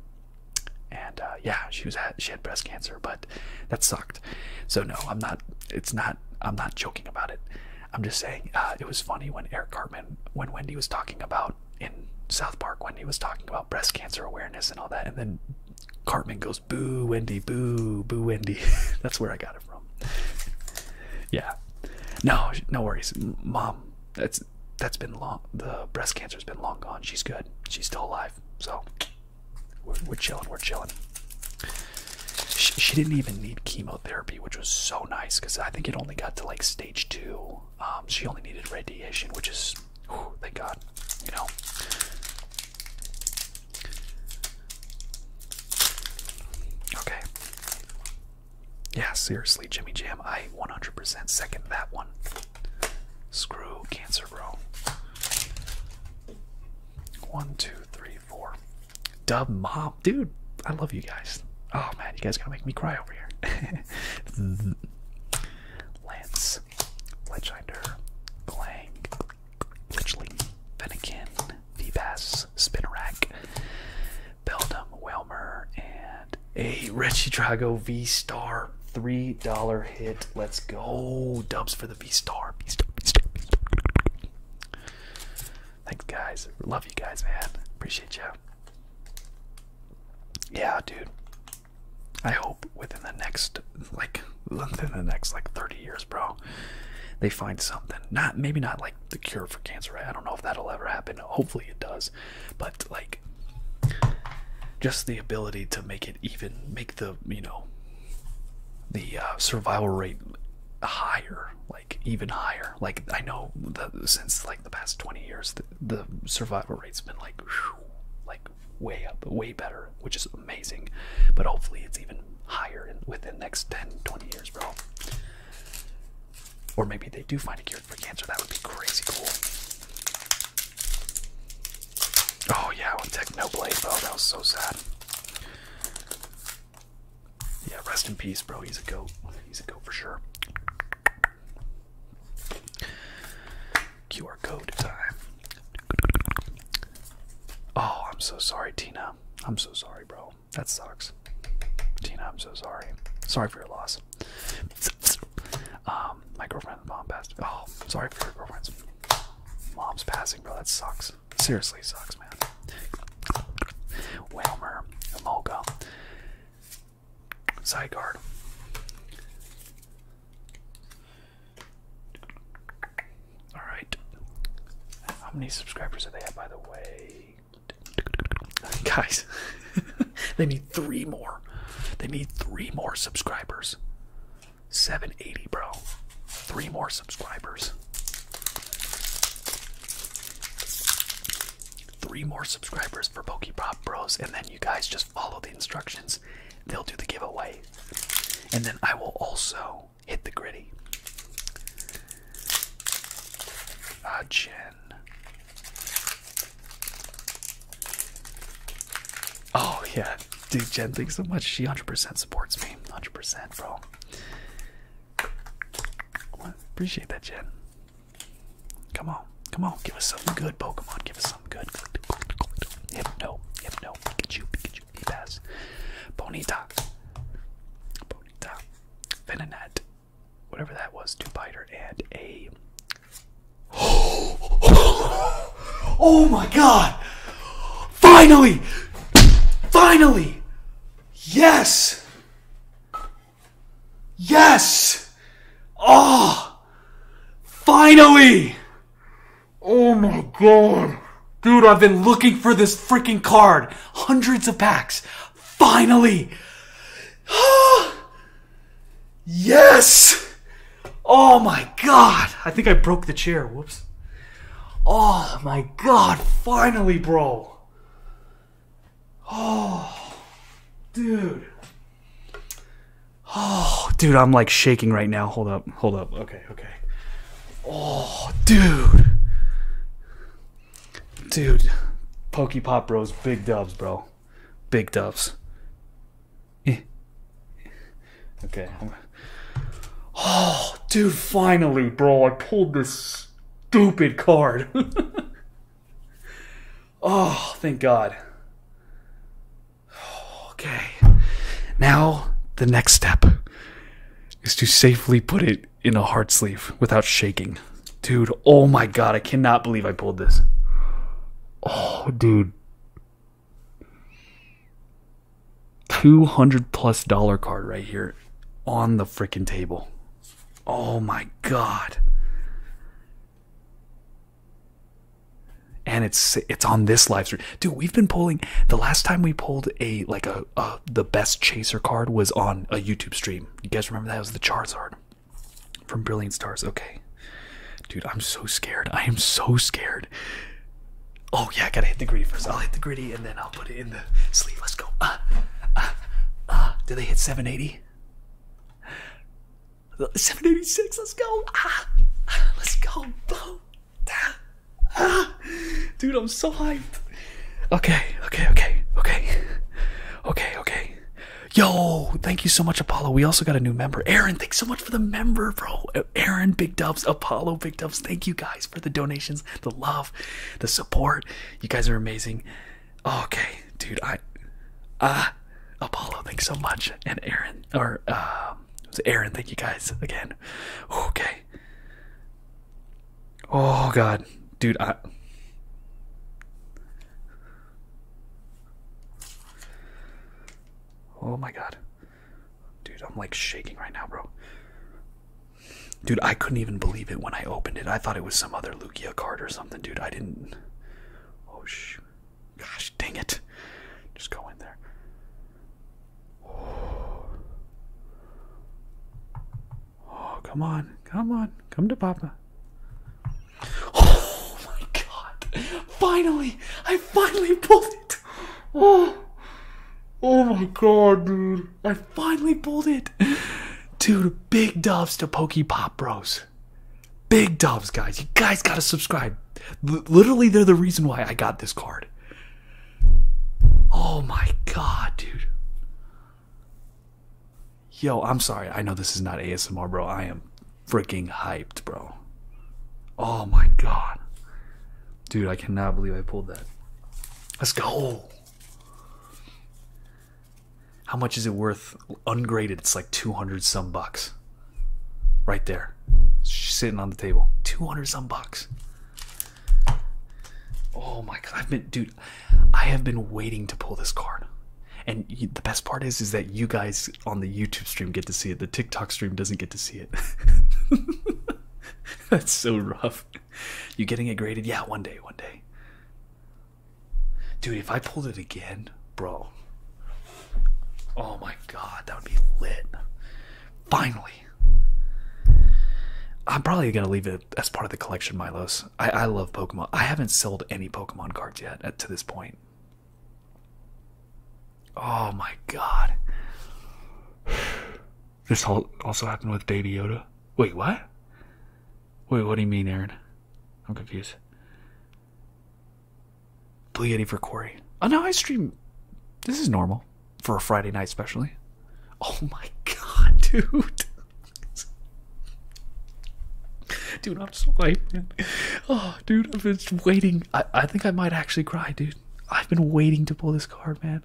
and uh, yeah, she was at, she had breast cancer, but that sucked. So no, I'm not. It's not. I'm not joking about it. I'm just saying uh, it was funny when Eric Cartman, when Wendy was talking about in South Park, Wendy was talking about breast cancer awareness and all that, and then Cartman goes Boo, Wendy, boo, boo, Wendy. That's where I got it from. Yeah. No, no worries. Mom, that's that's been long. The breast cancer's been long gone. She's good. She's still alive. So we're, chilling. We're chilling. She, didn't even need chemotherapy, which was so nice because I think it only got to like stage two. Um, she only needed radiation, which is, whew, thank God. You know, Okay. Yeah, seriously, Jimmy Jam, I 100% second that one. Screw Cancer Bro. One, two, three, four. Dub Mom. Dude, I love you guys. Oh man, you guys got to make me cry over here. Lance is Legender, Glang, Lichling, Fennekin, Vivas, Spinnerack, Beldum, Whelmer, and a Richie Drago V Star $3 hit. Let's go. Dubs for the V Star. V V Star. Thanks, guys. Love you guys, man. Appreciate you. Yeah, dude. I hope within the next like within the next like 30 years, bro, they find something. Not maybe not like the cure for cancer. I don't know if that'll ever happen. Hopefully it does, but like just the ability to make it even make the you know the uh, survival rate higher like even higher like i know the, since like the past 20 years the, survival rate's been like like way up, way better, which is amazing. But hopefully, it's even higher in, within the next 10, 20 years, bro. Or maybe they do find a cure for cancer. That would be crazy cool. Oh, yeah, with Technoblade, bro. That was so sad. Yeah, rest in peace, bro. He's a goat. He's a goat for sure. QR code time. Oh, I'm so sorry, Tina. I'm so sorry, bro. That sucks. Tina, I'm so sorry. Sorry for your loss. Um, my girlfriend's mom passed. Oh, sorry for your girlfriend's mom's passing, bro. That sucks. Seriously sucks, man. Whelmer, Emolga, Zygarde. All right. How many subscribers do they have, by the way? Guys, they need three more. They need three more subscribers. 780, bro. Three more subscribers. Three more subscribers for Pokepop Bros, and then you guys just follow the instructions they'll do the giveaway. And then I will also hit the gritty. Ah, Jen. Oh, yeah. Dude, Jen, thanks so much. She 100% supports me. 100%, bro. appreciate that, Jen. Come on. Come on. Give us something good, Pokemon. Give us I'm good. good, good, good. Hypno, Pikachu, Pikachu, e Ponyta. Ponyta. Bonita, whatever that was, two-biter, and a... oh my god! Finally! Finally! Yes! Yes! Oh! Finally! Oh my god. Dude, I've been looking for this freaking card. Hundreds of packs. Finally. yes. Oh my god. I think I broke the chair. Whoops. Oh my god. Finally, bro. Oh. Dude. Oh, dude, I'm like shaking right now. Hold up. Hold up. Okay, okay. Oh, dude. Dude. Pokey Pop Bros, big dubs, bro. Big dubs. Eh. Okay. Oh, dude, finally, bro. I pulled this stupid card. oh, thank God. Okay. Now, the next step is to safely put it in a heart sleeve without shaking. Dude, oh my god, I cannot believe I pulled this. Oh, dude. 200 plus dollar card right here on the freaking table. Oh my god and it's it's on this live stream dude we've been pulling the last time we pulled a like a, the best chaser card was on a youtube stream you guys remember that was the charizard from brilliant stars okay dude i'm so scared i am so scared oh yeah i gotta hit the gritty first i'll hit the gritty and then i'll put it in the sleeve let's go uh, uh, uh. did they hit 780 786, let's go. Ah, let's go. Boom. Ah, ah, Dude, I'm so hyped. Okay, okay, okay, okay. Okay, okay. Yo, thank you so much, Apollo. We also got a new member. Aaron, thanks so much for the member, bro. Aaron, Big Dubs, Apollo, Big Dubs. Thank you guys for the donations, the love, the support. You guys are amazing. Okay, dude, I. Ah, Apollo, thanks so much. And Aaron, or, um, it was Aaron. Thank you guys again. Okay. Oh God, dude, I. Oh my God, dude, I'm like shaking right now, bro. Dude, I couldn't even believe it when I opened it. I thought it was some other Lugia card or something, dude. I didn't. Oh shoot gosh. dang it. Just go in there. Oh, oh come on. Come on. Come to Papa. Oh my god. Finally. I finally pulled it. Oh. Oh my god, dude. I finally pulled it. Dude, big doves to Pokey Pop Bros. Big dubs, guys. You guys got to subscribe. literally, they're the reason why I got this card. Oh my god, dude. Yo, I'm sorry. I know this is not ASMR, bro. I am freaking hyped, bro. Oh my god. Dude, I cannot believe I pulled that. Let's go. How much is it worth ungraded? It's like 200 some bucks. Right there. sitting on the table. 200 some bucks. Oh my god, I've been dude, I have been waiting to pull this card. And the best part is is that you guys on the YouTube stream get to see it. The TikTok stream doesn't get to see it. That's so rough. You getting it graded? Yeah, one day, one day. Dude, if I pulled it again, bro. Oh my god, that would be lit. Finally. I'm probably gonna leave it as part of the collection, Milos. I, love Pokemon. I haven't sold any Pokemon cards yet to this point. Oh my god. This also happened with Baby Yoda. Wait, what? Wait, what do you mean, Aaron? I'm confused. Blue Yeti for Corey. Oh no, I stream. This is normal for a Friday night, especially. Oh my god, dude. Dude, I'm so hyped, Oh, dude, I've been waiting. I, I think I might actually cry, dude. I've been waiting to pull this card, man.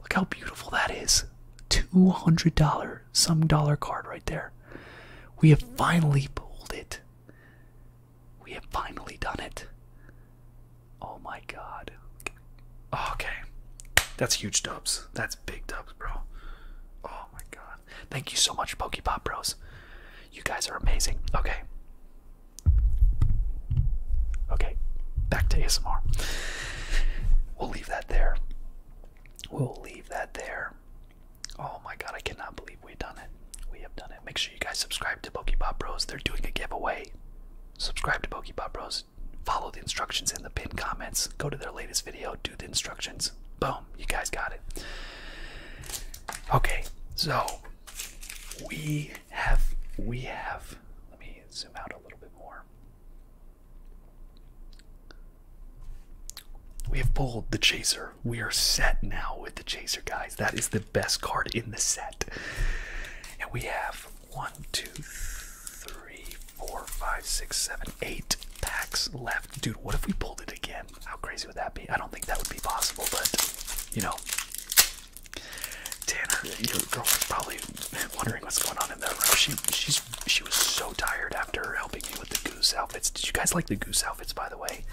Look how beautiful that is. $200, some dollar card right there. We have finally pulled it. We have finally done it. Oh my god. Okay. That's huge dubs. That's big dubs, bro. Oh my god. Thank you so much, Pokepop Bros. You guys are amazing. Okay. Okay. Back to ASMR. We'll leave that there. We'll leave that there. Oh my god, I cannot believe we've done it. We have done it. Make sure you guys subscribe to Pokeball Bros. They're doing a giveaway. Subscribe to Pokeball Bros. Follow the instructions in the pinned comments. Go to their latest video. Do the instructions. Boom. You guys got it. Okay. So we have we have let me zoom out a little bit more. We have pulled the chaser we are set now with the Chaser, guys. That is the best card in the set. And we have one, two, three, four, five, six, seven, eight packs left. Dude, what if we pulled it again? How crazy would that be? I don't think that would be possible, but you know. Tanner, your girlfriend's probably wondering what's going on in that room. She she's she was so tired after helping me with the goose outfits. Did you guys like the goose outfits by the way?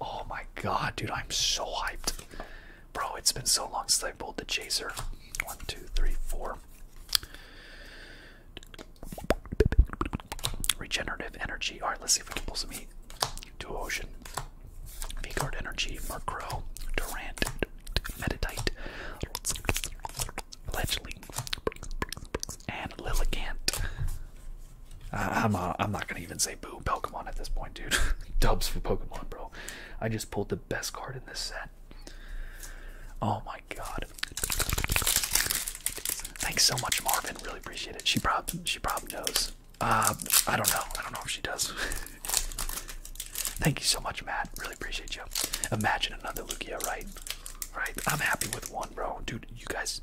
Oh my god, dude, I'm so hyped. Bro, it's been so long since I pulled the chaser. One, two, three, four. Regenerative energy. Alright, let's see if we can pull some heat. Duocean. V-Guard Energy, Murkrow, Durant, Meditite, Fledgling, and Lilligant. I'm I'm not gonna even say boo Pokemon at this point, dude. Dubs for Pokemon, bro. I just pulled the best card in this set. Oh my god! Thanks so much, Marvin. Really appreciate it. She probably she probably knows. Uh, I don't know. I don't know if she does. Thank you so much, Matt. Really appreciate you. Imagine another Lugia, right? Right. I'm happy with one, bro. Dude, you guys.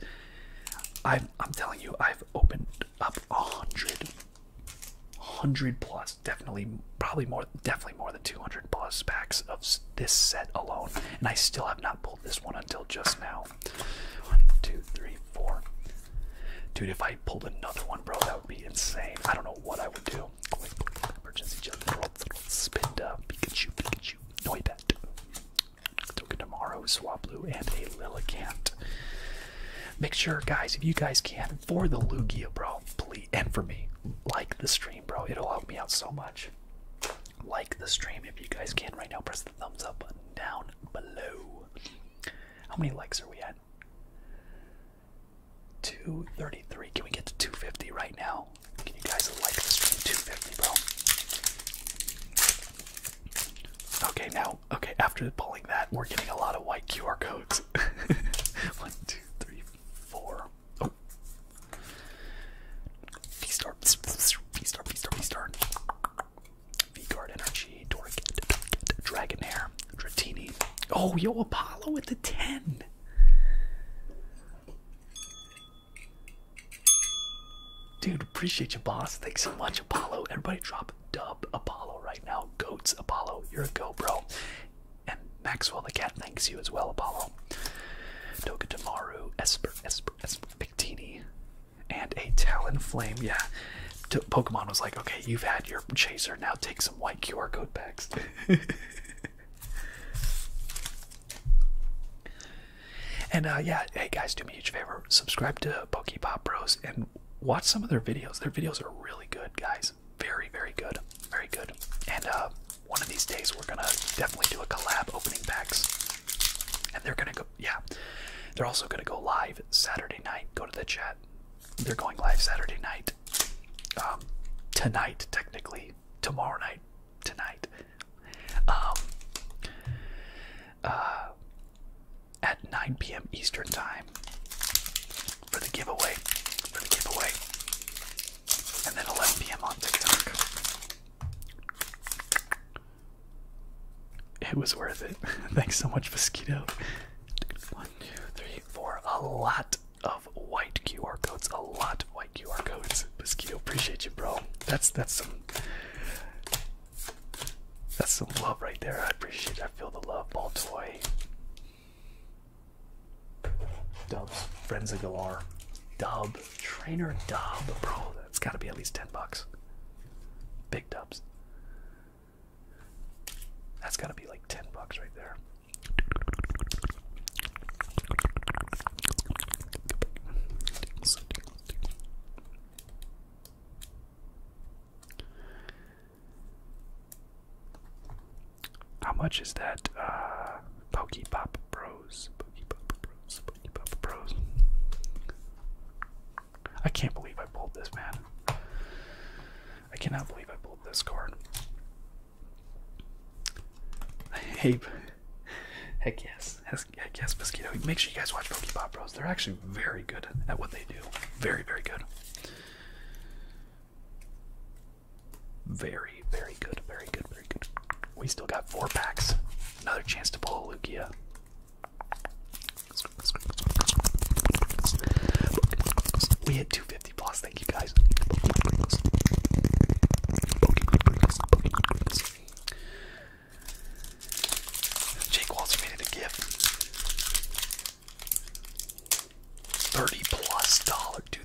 i I'm telling you, I've opened up a hundred, hundred plus, definitely, probably more, definitely more than 200 plus packs of this set alone. And I still have not pulled this one until just now. One, two, three, four. Dude, if I pulled another one, bro, that would be insane. I don't know what I would do. Emergency jump, spin up, Pikachu, Pikachu, Noibat, Tokidamaru, Swablu, and a Lillicant. Make sure, guys, if you guys can, for the Lugia, bro, please, and for me, like the stream, bro. It'll help me out so much. Like the stream if you guys can right now. Press the thumbs up button down below. How many likes are we at? 233. Can we get to 250 right now? Can you guys like the stream 250, bro? Okay, now Okay, after pulling that, we're getting a lot of white QR codes. One, two, three, four. Oh. V-Star, V-Star, V-Star, V-Star. V-Guard Energy, Dorkit, Dragonair, Dratini. Oh, yo, Apollo with the 10. Dude, appreciate you, boss. Thanks so much, Apollo. Everybody drop dub Apollo right now. Goats, Apollo. You're a go, bro. And Maxwell the cat thanks you as well, Apollo. Doga Esper, Esper, Esper, Victini, and a Talonflame. Yeah, Pokemon was like, okay, you've had your chaser. Now take some white QR code packs. And uh, yeah, hey guys, do me a huge favor. Subscribe to Pokepop Bros and watch some of their videos. Their videos are really good, guys. Very, very good. Very good. And uh, one of these days, we're going to definitely do a collab opening packs. And they're going to go, yeah. They're also going to go live Saturday night. Go to the chat. They're going live Saturday night. Um, tonight, technically. Tomorrow night. Tonight. Um, uh, at 9 p.m. Eastern Time for the giveaway. For the giveaway. And then 11 p.m. on TikTok. It was worth it. Thanks so much, Mosquito. One, two, three, four. A lot of white QR codes. A lot of white QR codes. Mosquito, appreciate you, bro. That's that's some that's some love right there. I appreciate it. I feel the love. Ball toy. Dubs. Friends of Galar. Dub. Trainer Dub. Bro, that's got to be at least 10 bucks. Big dubs. That's got to be like 10 bucks right there. How much is that uh, Pop Bros? Pokepop Bros, Pokepop Bros. I can't believe I pulled this, man. I cannot believe I pulled this card. Hey, heck yes, Yes, yes, Mosquito. Make sure you guys watch Pokeball Bros. They're actually very good at what they do. Very, very good. Very, very good. Very good. Very good. We still got four packs. Another chance to pull a Lugia. We hit 250 plus. Thank you guys. Jake Waltz made it a gift. Thirty plus dollar, dude.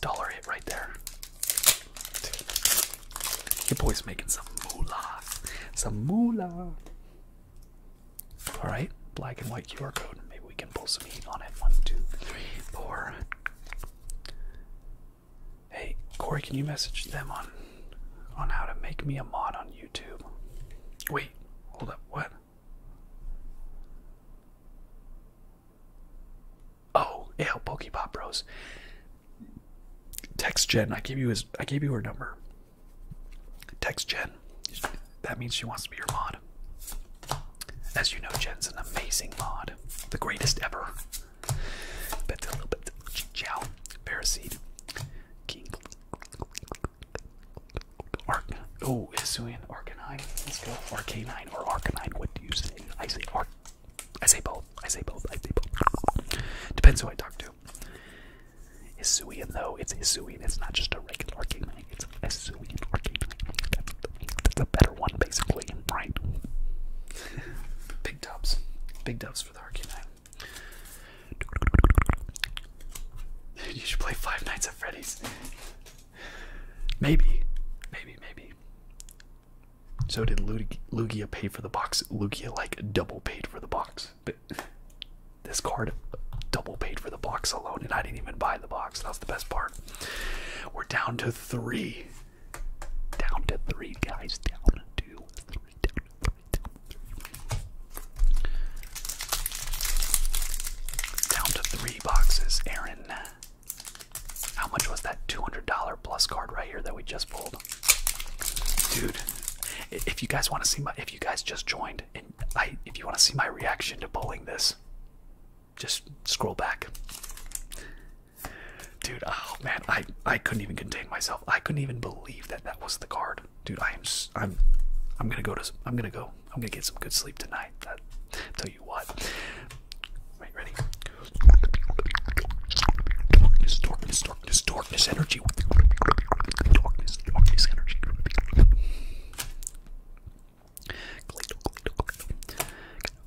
dollar hit right there. Your boy's making some moolah, some moolah. All right, black and white QR code. Maybe we can pull some heat on it. One, two, three, four. Hey, Corey, can you message them on on how to make me a mod on YouTube? Wait, hold up, what? Oh, yeah, Pokepop Bros. Text Jen, I gave you his I gave you her number. Text Jen. That means she wants to be your mod. As you know, Jen's an amazing mod. The greatest ever. Bet a little bit. Chow. Paraseed. King. Arc. Oh, Hisuian Arcanine. Let's go. Arcanine or Arcanine. What do you say? I say Arc. I say both. I say both. I say both. Depends who I talk to. Hisuian though, it's Hisuian. It's not just a regular Arcanine. It's Hisuian Arcanine. That's, that's a better one, basically. Right. big dubs. Big dubs for the Arcane You should play Five Nights at Freddy's. Maybe. Maybe, maybe. So did Lugia pay for the box? Lugia, like, double paid for the box. But this card double paid for the box alone, and I didn't even buy the box. That's the best part. We're down to three. Down to three, guys. Down to three. Down to three. Down to three boxes, Aaron. How much was that $200 plus card right here that we just pulled? Dude, if you guys want to see my, if you guys just joined, and I, if you want to see my reaction to pulling this, just scroll back. Dude, oh man, I I couldn't even contain myself. I couldn't even believe that that was the card. Dude, I am I'm I'm going to go to I'm going to go. I'm going to get some good sleep tonight. That tell you what. ready? Darkness, darkness, darkness, darkness energy.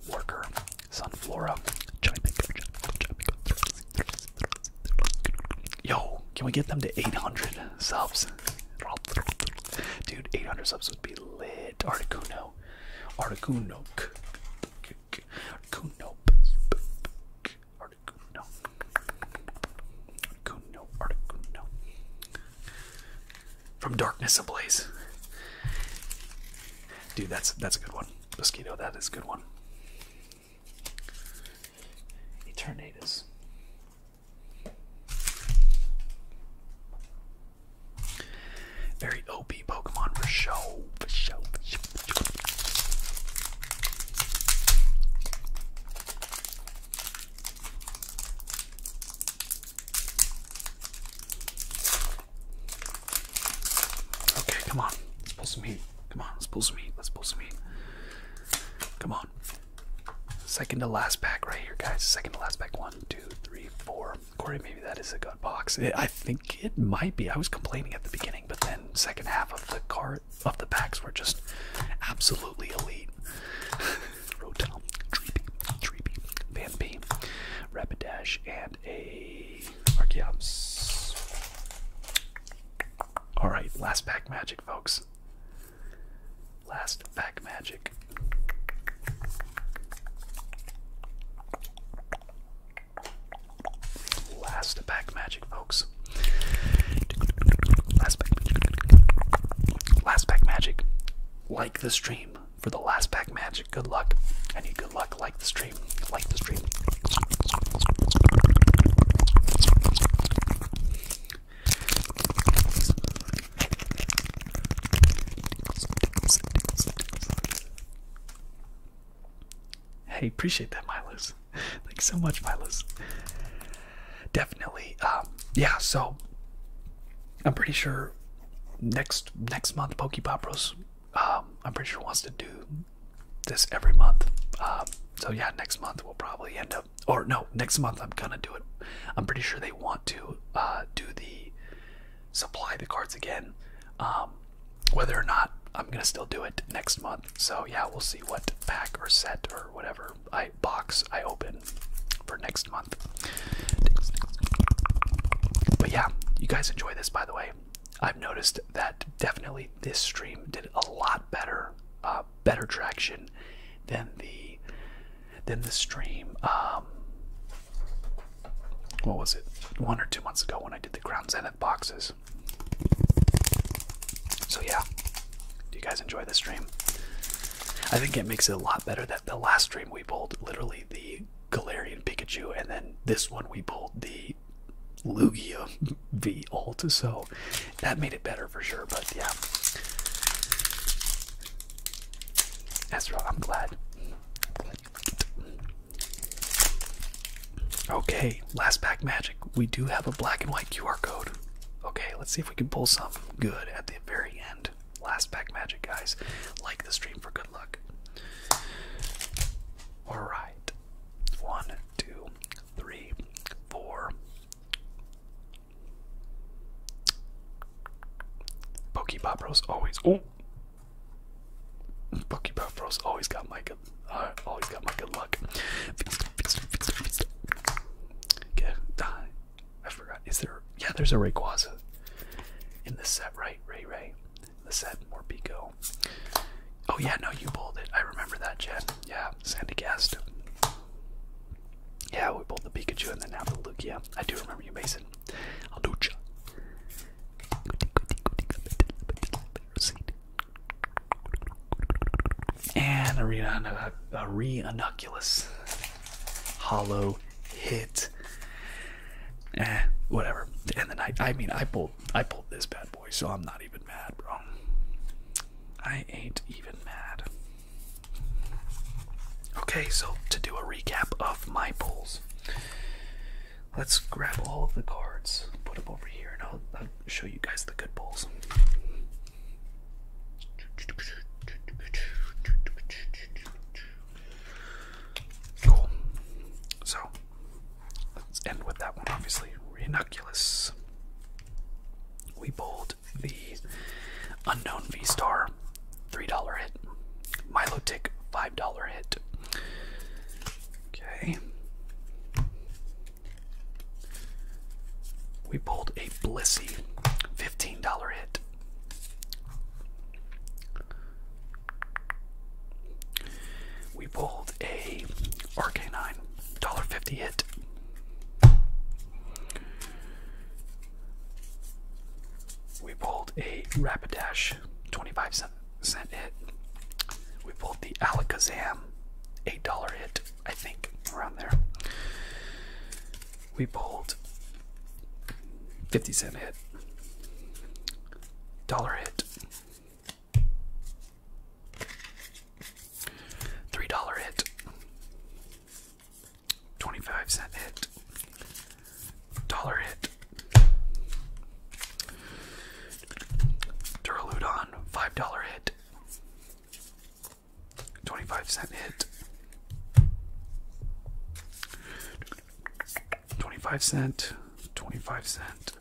Worker, Sunflora. Yo, can we get them to 800 subs? Dude, 800 subs would be lit. Articuno. Articuno. Articuno. Articuno. Articuno. Articuno. From Darkness Ablaze. Dude, that's that's a good one. Mosquito, that is a good one. Eternatus. Very OP Pokemon For show. For show. Okay, come on. Let's pull some heat. Come on, let's pull some heat. Let's pull some heat. Come on. Second to last pack right here, guys. Second to last pack. One, two, three, four. Corey, maybe that is a good box. I think it might be. I was complaining at the beginning, but then second half of the card of the packs were just absolutely elite. Rotom, Dreepy, Dreepy, Van P, Rapidash, and and a Archeops. Alright, last pack magic, folks. Last pack magic. Last pack magic, folks. Last pack magic. Like the stream for the last pack magic. Good luck. I need good luck. Like the stream. Like the stream. Hey, appreciate that, Milos. Thanks so much, Milos. Definitely. Um, yeah, so I'm pretty sure next next month Pokepop Bros um, I'm pretty sure wants to do this every month. Um, so yeah, next month we'll probably end up, or no, next month I'm gonna do it. I'm pretty sure they want to uh, do the supply the cards again. Um, whether or not I'm gonna still do it next month. So yeah, we'll see what pack or set or whatever I box I open for next month. But yeah, you guys enjoy this by the way. I've noticed that definitely this stream did a lot better, uh, better traction than the than the stream. Um, what was it? One or two months ago when I did the Crown Zenith boxes. So yeah, do you guys enjoy the stream? I think it makes it a lot better that the last stream we pulled literally the Galarian Pikachu, and then this one we pulled the great Lugia V Alt, so that made it better for sure. But yeah, that's right. I'm glad. Okay, last pack magic. We do have a black and white QR code. Okay, let's see if we can pull something good at the very end. Last pack magic, guys. Like the stream for good luck. All right. One, two, three, four. Pokebop Bros always. Oh. Pokebop Bros always got my good. Uh, always got my good luck. Feast, feast, I forgot. Is there? Yeah, there's a Rayquaza in this set, right? Ray Ray the said Morpico. Oh yeah, no, you bowled it. I remember that, Jen. Yeah, Sandy Cast. Yeah, we bowled the Pikachu and then now the Lugia. I do remember you, Mason. I'll do ya. And Arena a re-inoculus hollow hit. Eh, whatever. And the night. I mean I bowled I pulled this bad boy, so I'm not even mad, bro. I ain't even mad. Okay, so to do a recap of my pulls, let's grab all of the cards, put them over here, and I'll, I'll show you guys the good pulls. Cool. So Let's end with that one, obviously. Rhinoculus. We pulled the Unknown V Star, $3 hit. Milo Tick, $5 hit. Okay. We pulled a Blissey, $15 hit. We pulled a RK9, $1.50 hit. We pulled a Rapidash, 25 cent, hit. We pulled the Alakazam, $8 hit, I think, around there. We pulled 50 cent hit, dollar hit. Three dollar hit. 25 cent hit. Dollar hit. Duraludon, $5 hit. 25 cent hit. 25 cent, 25 cent,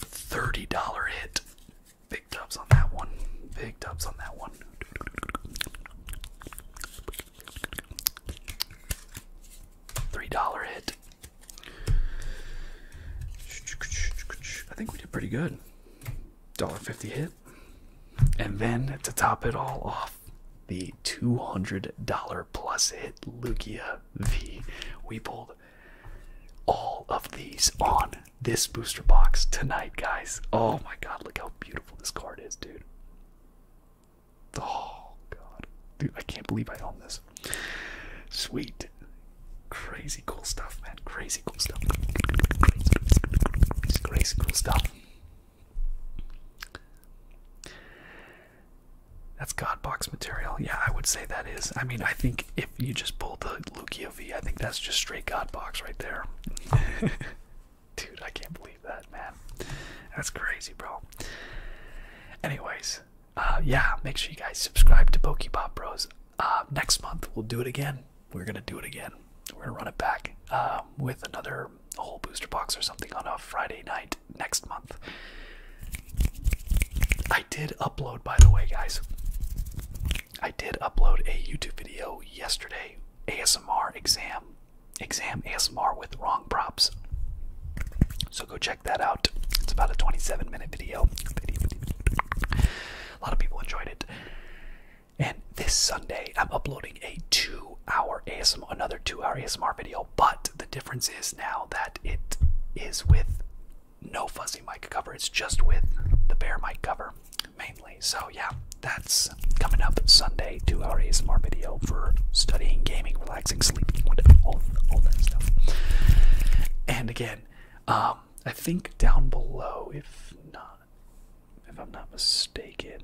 $30 hit. Big dubs on that one. Big dubs on that one. $3 hit. I think we did pretty good. fifty hit. And then to top it all off, the $200 plus hit Lugia the we pulled all of these on this booster box tonight, guys. Oh my god, look how beautiful this card is, dude. Oh god. Dude, I can't believe I own this. Sweet. Crazy cool stuff, man. Crazy cool stuff. crazy cool stuff. That's God box material. Yeah, I would say that is. I mean, I think if you just pull the Lucio V, I think that's just straight God box right there. Dude, I can't believe that, man. That's crazy, bro. Anyways, uh, yeah, make sure you guys subscribe to Pop Bros. Uh, next month, we'll do it again. We're going to do it again. We're going to run it back um, with another whole booster box or something on a Friday night next month. I did upload, by the way, guys. I did upload a YouTube video yesterday, ASMR exam, exam ASMR with wrong props. So go check that out. It's about a 27 minute video. A lot of people enjoyed it. And this Sunday, I'm uploading a two hour ASMR, another two hour ASMR video but the difference is now that it is with no fuzzy mic cover, it's just with the bare mic cover mainly. So, yeah, that's coming up Sunday, two hour ASMR video for studying, gaming, relaxing, sleeping, all, all that stuff. And again, um, I think down below, if not, if I'm not mistaken,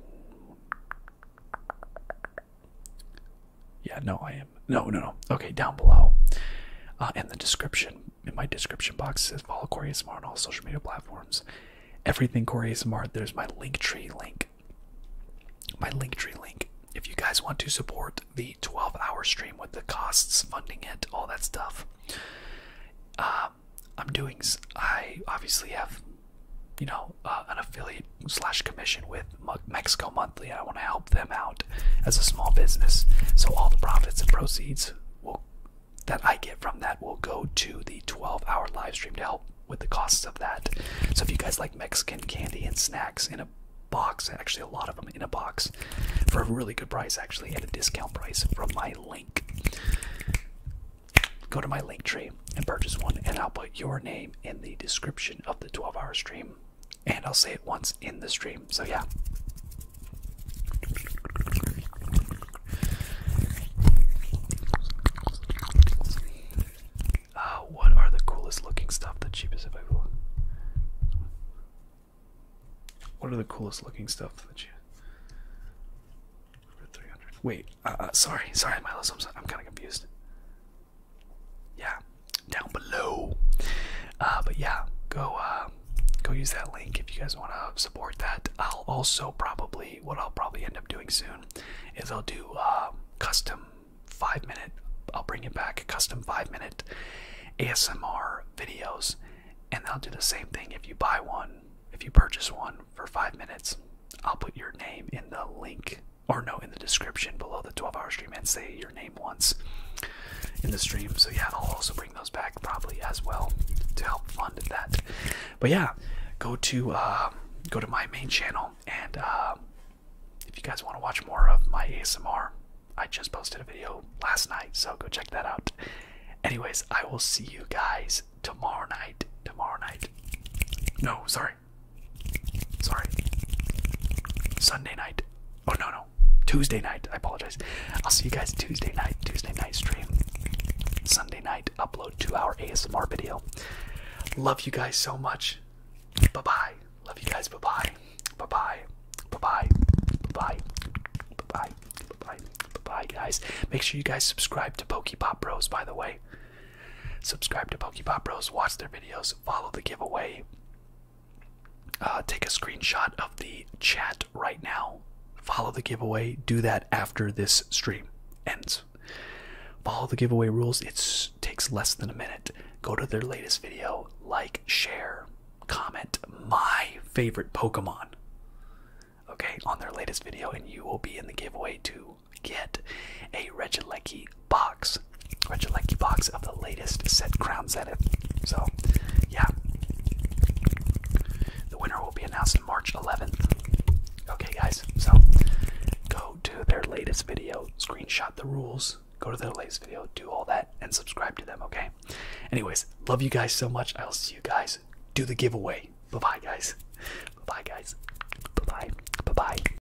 yeah, no, I am. No, no, no. Okay, down below. Uh, in the description, in my description box, says follow Corey smart on all social media platforms. Everything Corey is smart. there's my Linktree link. My Linktree link. If you guys want to support the 12 hour stream with the costs, funding it, all that stuff, uh, I'm doing, I obviously have, you know, uh, an affiliate slash commission with Mexico Monthly. I want to help them out as a small business. So all the profits and proceeds that I get from that will go to the 12-hour live stream to help with the costs of that. So if you guys like Mexican candy and snacks in a box, actually a lot of them in a box, for a really good price actually at a discount price from my link. Go to my link tree and purchase one, and I'll put your name in the description of the 12 hour stream. And I'll say it once in the stream. So, yeah. Uh, what are the coolest looking stuff? The cheapest available. What are the coolest looking stuff that you. For 300. Wait, uh, uh, sorry, sorry, Miles. i I'm kind of confused yeah, down below. Uh, but yeah, go uh, go use that link if you guys want to support that. I'll also probably what I'll probably end up doing soon is I'll do uh, custom five minute. I'll bring it back custom five minute ASMR videos, and I'll do the same thing if you buy one. If you purchase one for five minutes, I'll put your name in the link or no, in the description below the 12 hour stream and say your name once in the stream. So, yeah, I'll also bring those back probably as well to help fund that. But, yeah, go to, uh, go to my main channel and, uh, if you guys want to watch more of my ASMR, I just posted a video last night, so go check that out. Anyways, I will see you guys tomorrow night. Tomorrow night. No, sorry, Sorry. Sunday night. Oh no no. Tuesday night. I apologize. I'll see you guys Tuesday night. Tuesday night stream. Sunday night upload two hour ASMR video. Love you guys so much. Bye bye. Love you guys. Bye bye. Bye bye. Bye bye. Bye bye. Bye bye. Bye bye. Bye bye guys. Make sure you guys subscribe to Pokepop Bros by the way. Subscribe to Pokepop Bros. Watch their videos follow the giveaway. Uh, take a screenshot of the chat right now. Follow the giveaway. Do that after this stream ends. Follow the giveaway rules. It takes less than a minute. Go to their latest video, like, share, comment my favorite Pokemon. Okay, on their latest video, and you will be in the giveaway too get a Regilecki box. Regilecki box of the latest set Crown Zenith. So, yeah. The winner will be announced on March 11th. Okay, guys, so go to their latest video, screenshot the rules, go to their latest video, do all that, and subscribe to them, okay? Anyways, love you guys so much. I'll see you guys. Do the giveaway. Bye bye, guys. bye, guys. Bye bye. Bye bye.